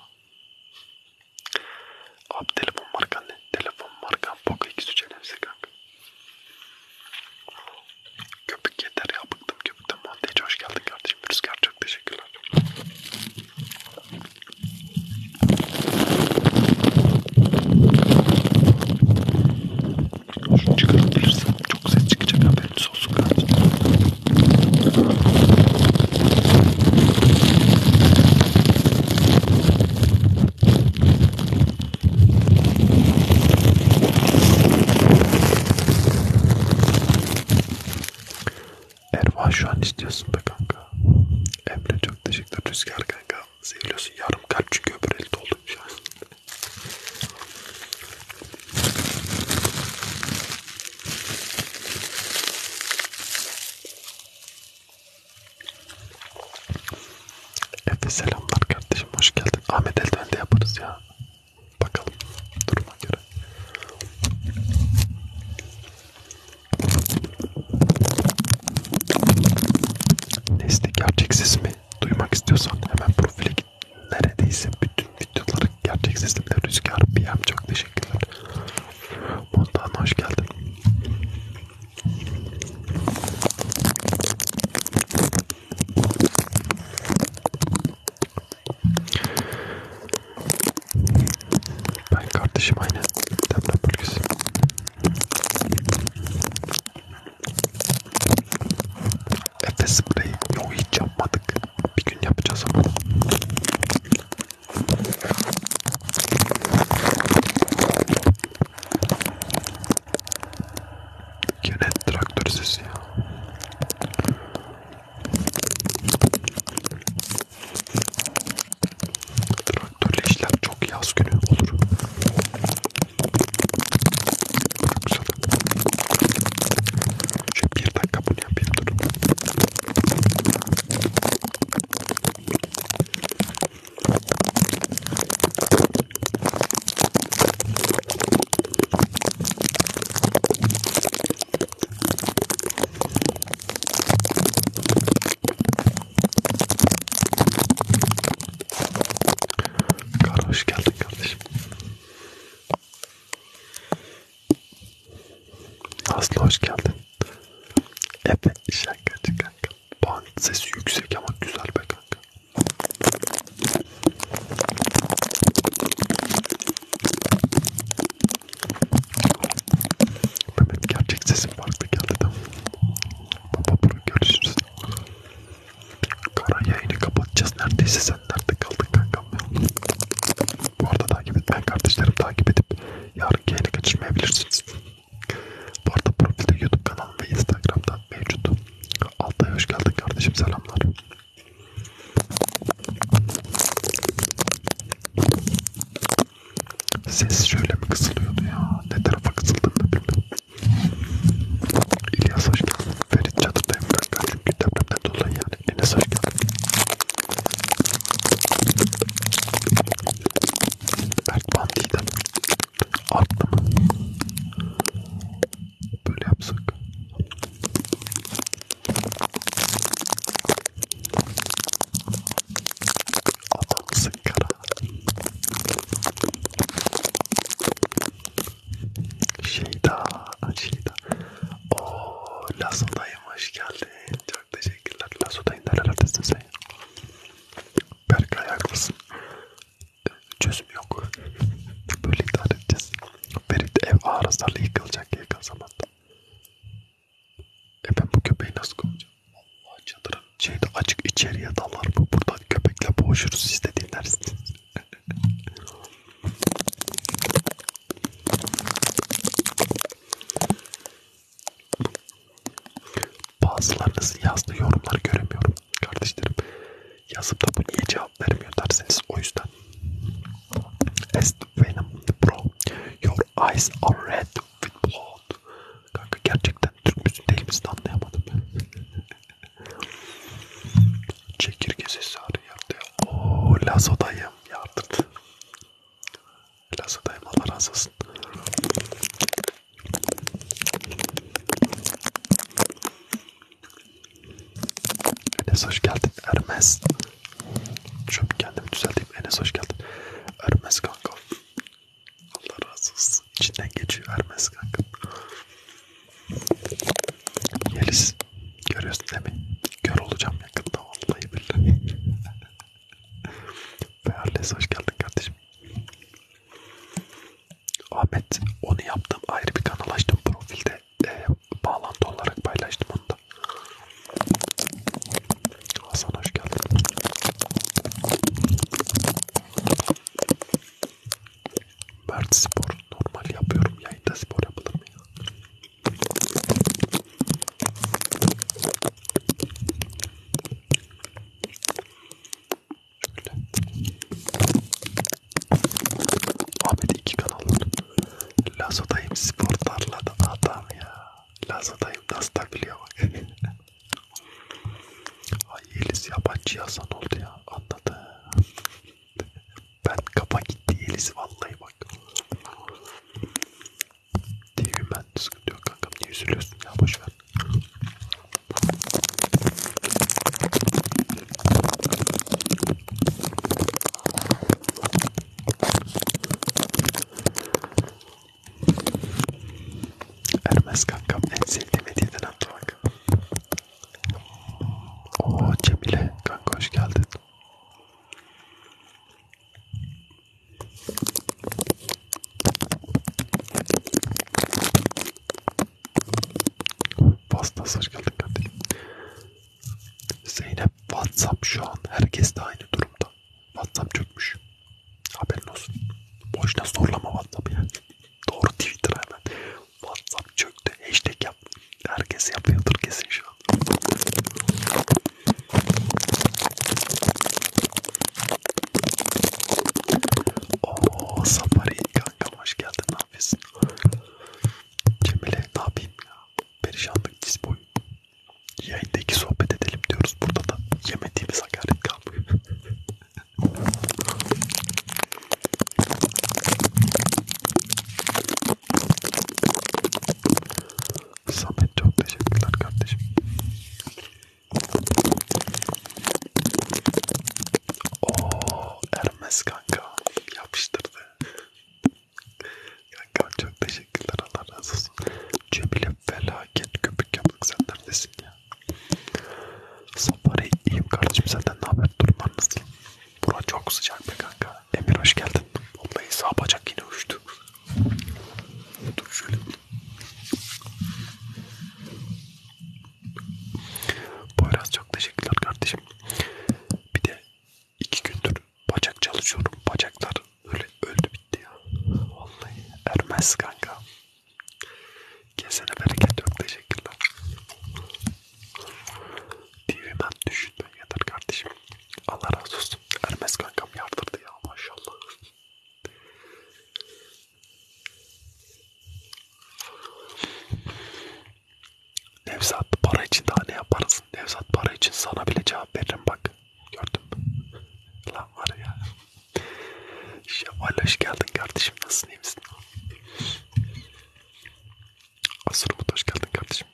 Abi telefon markan ne? Telefon markan Poco X3 önemlisi kanka. Köpük yeter ya bıktım köpükten. Monteci hoş geldin kardeşim. Rüzgar çok teşekkürler. Şunu çıkarıp gelirsin. Çok ses çıkacak haberiniz olsun kardeşim. Erva şu an istiyorsun be kanka. Emre çok teşekkürler Rüzgar kanka. Seviyorsun yarım kalp çünkü öbür elde oldum şu an. Efe selamlar kardeşim hoş geldin. Ahmet elden de yaparız ya. Bakalım duruma göre. Testi gerçeksiz mi? Duymak istiyorsan hemen profile git. Neredeyse bütün videoları gerçeksizlikle Rüzgar BM çok teşekkürler. Montan hoş geldin. Ben kardeşim aynı deprem bölgesi. Efes spreyi yok hiç yapmadık. Bir gün yapacağız ama. Yine traktör sesi ya. Traktörle işlem çok yaz günü olur. Güzel. Şöyle bir dakika bunu yapayım durun. Kar hoş geldin kardeşim. Aslı hoş geldin. Evet şakacı kanka. Puan sesi yüksek ama güzel be kanka. Mehmet gerçek sesim farklı geldi de. Baba bunu görüşürüz. Kara yayını kapatacağız neredeyse sen nerede kaldın kankam ya? Bu arada takip etmeyen kardeşlerim takip edip yarın yayını kaçırmayabilirsiniz. Bu arada profilde YouTube kanalım ve Instagram'da mevcut. Altay hoş geldin kardeşim selamlar. Ses şöyle mi kısılıyordu ya? Ne tarafa kısıldığını bilmiyorum. İlyas hoş geldin. Ferit çadırdayım kanka çünkü depremden dolayı yani. Enes hoş geldin. Ertman Didem. Arttı mı? Böyle yapsak. Adamsın kara. Şeyda, Şeyda. Ooo Lasodayım hoş geldin. Çok teşekkürler. Lasodayım nerelerdesin sen? Berkay haklısın. Çözüm yok. Böyle idare edeceğiz. Ferit ev ağır hasarlı yıkılacak yakın zamanda. E ben bu köpeği nasıl kovacağım? Allah çadırın şeyde açık içeriye dalar mı? Buradan köpekle boğuşuruz siz de dinlersiniz. Bazılarınızın yazdığı yorumları göremiyorum kardeşlerim yazıp da bu niye cevap vermiyor derseniz o yüzden. As Venom Pro, your eyes are red with blood. Kanka gerçekten Türk müsün değil misin anlayamadım ben. Çekirge sesi arıyor. Ooo lazodayım yardım. Lazodayım Allah razı olsun. Enes hoş geldin Ermez. Şöyle kendimi düzelteyim. Enes hoş geldin. Ermez kanka. Allah razı olsun. İçinden geçiyor Ermez kanka. Yeliz. Görüyorsun değil mi? Gör olacağım yakında vallahi billahi. Beyarles hoş geldin kardeşim. Ahmet onu yaptım ayrı bir kanal açtım profilde e, bağlantı olarak paylaştım onu da. Hasan hoş geldin. Mert spor normal yapıyorum. Yayında spor yapılır mı ya? Şöyle. Ahmet iki kanalın. Lazodayım sporlarla da adam ya. Lazodayım nasıl da biliyor bak. Ay Yeliz yabancı yazan oldu ya. Anladı. ben kapa gitti Yeliz vallahi bak. Değil ben sıkıntı yok kankam. Niye üzülüyorsun ya boşver. Ermez kankam en sevdiğim hediyeden attı bak. Ooo Cemile kanka hoş geldin. Pasta hoş geldin kardeşim. Zeynep WhatsApp şu an herkes de aynı durumda. WhatsApp çökmüş. Haberin olsun. Boşuna zorlama WhatsApp ya. Doğru Twitter hemen. WhatsApp çöktü. Hashtag yap. Herkes yapıyordur kesin şu an. Ooo Safari kankam hoş geldin. Ne yapıyorsun? Cemile ne yapayım ya? perişanlık diz boyu. Yayında iki sohbet edelim diyoruz. Burada da yemediğimiz hakaret kalmıyor. Samet çok teşekkürler kardeşim. Oo, Ermes kanka yapıştırdı. Kankam çok teşekkürler Allah razı olsun. Cemile felaket köpük yaptık sen neredesin ya? Sabahleyin iyiyim kardeşim senden ne haber durumlar nasıl? Bura çok sıcak be kanka. Emir hoş geldin. Vallahi sağ bacak yine uçtu. Dur şöyle. Poyraz çok teşekkürler kardeşim. Bir de İki gündür bacak çalışıyorum. Bacaklar öyle öldü bitti ya. Vallahi ermez kanka. Kesene bereket yok. Teşekkürler. TV'den düşünme yeter kardeşim. Allah razı olsun. Ermez kankam yardırdı ya maşallah. Nevzat para için daha ne yaparsın? Nevzat para için sana bile cevap veririm bak. Gördün mü? Lan var ya. Şevval hoş geldin kardeşim. Nasılsın iyi misin? Asrumut hoş geldin kardeşim.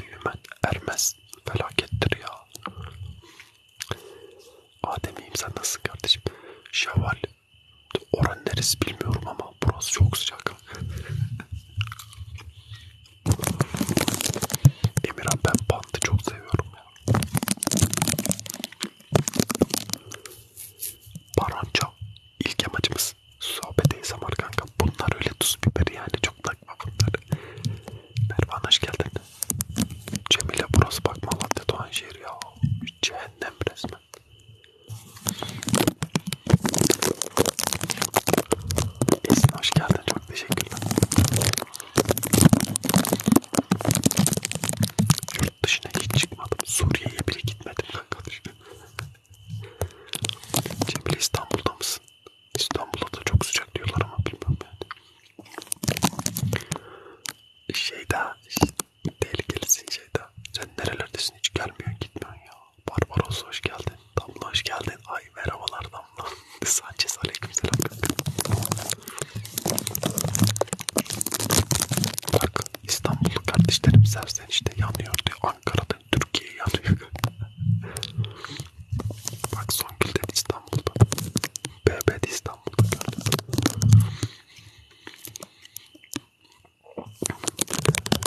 Düğmen ermez. Felakettir ya. Adem'iyim sen nasılsın kardeşim? Şevval. Oran neresi bilmiyorum ama burası çok sıcak. Emirhan ben pantı çok seviyorum ya. Paranca. İlk amacımız biraz sohbet ASMR kanka. Bunlar öyle tuz biberi yani çok takma bunları. Mervan hoş geldin. Cemile burası bak Malatya Doğanşehir ya. Cehennem resmen. Esin hoş geldin. Çok teşekkürler. Yurt dışına hiç çıkmadım. Suriye'ye bile gitmedim kanka. Cemile İstanbul'da mısın? İstanbul'da da çok sıcak diyorlar ama bilmem ben. Şey daha tehlikelisin şey daha. Sen nerelerdesin hiç gelmiyorsun gitmiyorsun ya. Barbaros hoş geldin. Damla hoş geldin. Ay merhabalar Damla. Sanchez aleykümselam. Bak İstanbullu kardeşlerim serzenişte yanıyor diyor. Ankara'da Türkiye yanıyor. Bak Songül dedi İstanbul'da. BB de İstanbul'da gördüm.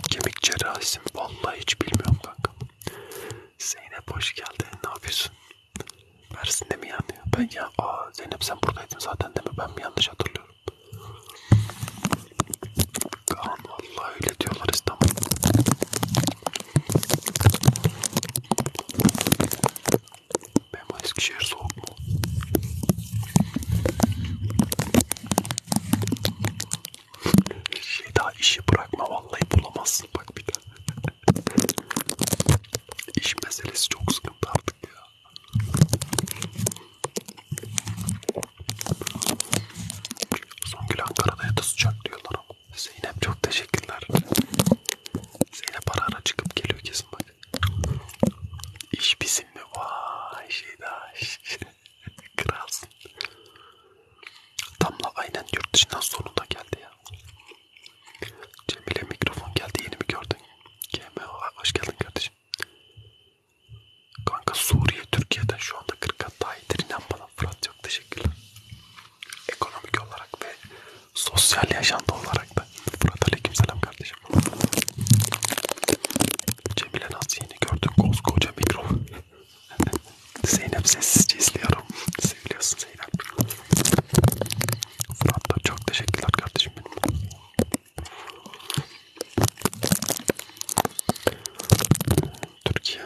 Kemik cerrahisi mi? Vallahi hiç bilmiyorum kanka. Zeynep hoş geldin. Ne yapıyorsun? Mersin'de mi yanıyor? Ben ya aa Zeynep sen buradaydın zaten değil mi? Ben mi yanlış hatırlıyorum? Kaan Vallahi öyle diyorlar İstanbul. Benim Eskişehir soğuk mu? Şey daha işi bırakma vallahi bulamazsın bak bir daha. İş meselesi çok sıkıntı artık ya. Songül Ankara'da yata sıcak diyorlar ama. Zeynep çok teşekkürler. Zeynep ara ara çıkıp geliyor kesin bak. İş bizim mi? Vay şeydaş. Kralsın. Damla aynen yurt dışından sonunda geldi ya. Cemile mikrofon geldi yeni mi gördün? GM hoş geldin kardeşim. Kanka Suriye Türkiye'den şu anda 40 kat daha iyidir inan bana sana Fırat çok teşekkürler. Ekonomik olarak ve sosyal yaşantı olarak da. Fırat aleykümselam kardeşim. Cemile nasıl yeni gördün koskoca mikro. Zeynep sessizce izliyorum. Seviyorsun Zeynep. Fırat da çok teşekkürler kardeşim benim. Türkiye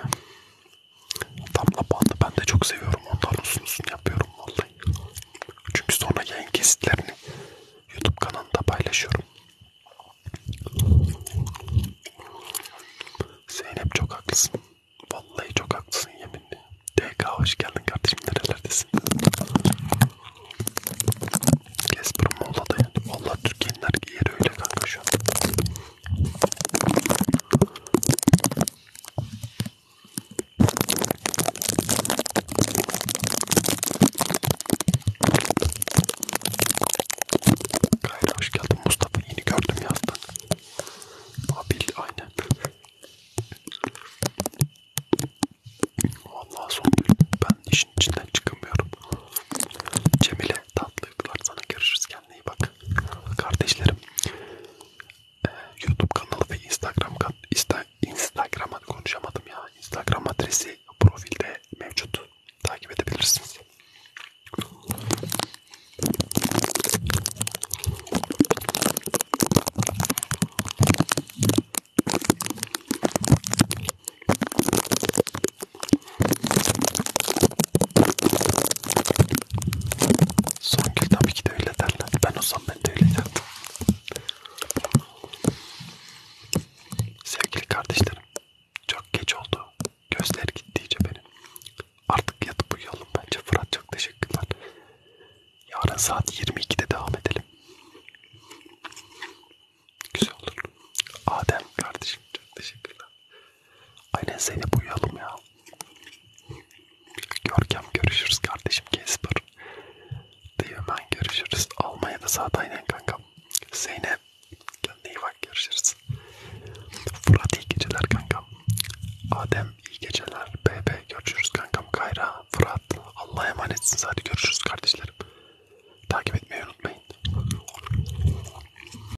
Damla bandı ben de çok seviyorum. Ondan uzun uzun yapıyorum vallahi. Çünkü sonra yayın kesitlerini YouTube kanalında paylaşıyorum. Zeynep çok haklısın. Vallahi çok haklısın yeminle. DK hoş geldin kardeşim nerelerdesin? Casper'ın Muğla'da yani. Valla Türkiye'nin her yeri öyle kanka şu an. Gayri hoş geldin Mustafa. Yeni gördüm yazdın. Abil aynen. Vallahi son gün ben işin içinden çıkamıyorum. Cemile Tatlı uykular sana görüşürüz kendine iyi bak. Kardeşlerim ee, YouTube kanalı ve Instagram insta, Instagram konuşamadım ya. Instagram adresi profilde mevcut. Takip edebilirsiniz. Songül tabii ki de öyle derler. Ben olsam ben de öyle derdim. Sevgili kardeşlerim, çok geç oldu. Gözler gitti iyice benim. Artık yatıp uyuyalım bence. Fırat çok teşekkürler. Yarın saat 22'de devam edelim. Güzel olur. Adem kardeşim çok teşekkürler. Aynen Zeynep uyuyalım ya. Görkem görüşürüz kardeşim Kesper. Değirmen görüşürüz. Almanya'da saat aynen kankam. Zeynep kendine iyi bak görüşürüz. Fırat iyi geceler kankam. Adem iyi geceler. BB görüşürüz kankam. Kayra, Fırat Allah'a emanetsiniz. Hadi görüşürüz kardeşlerim. Takip etmeyi unutmayın.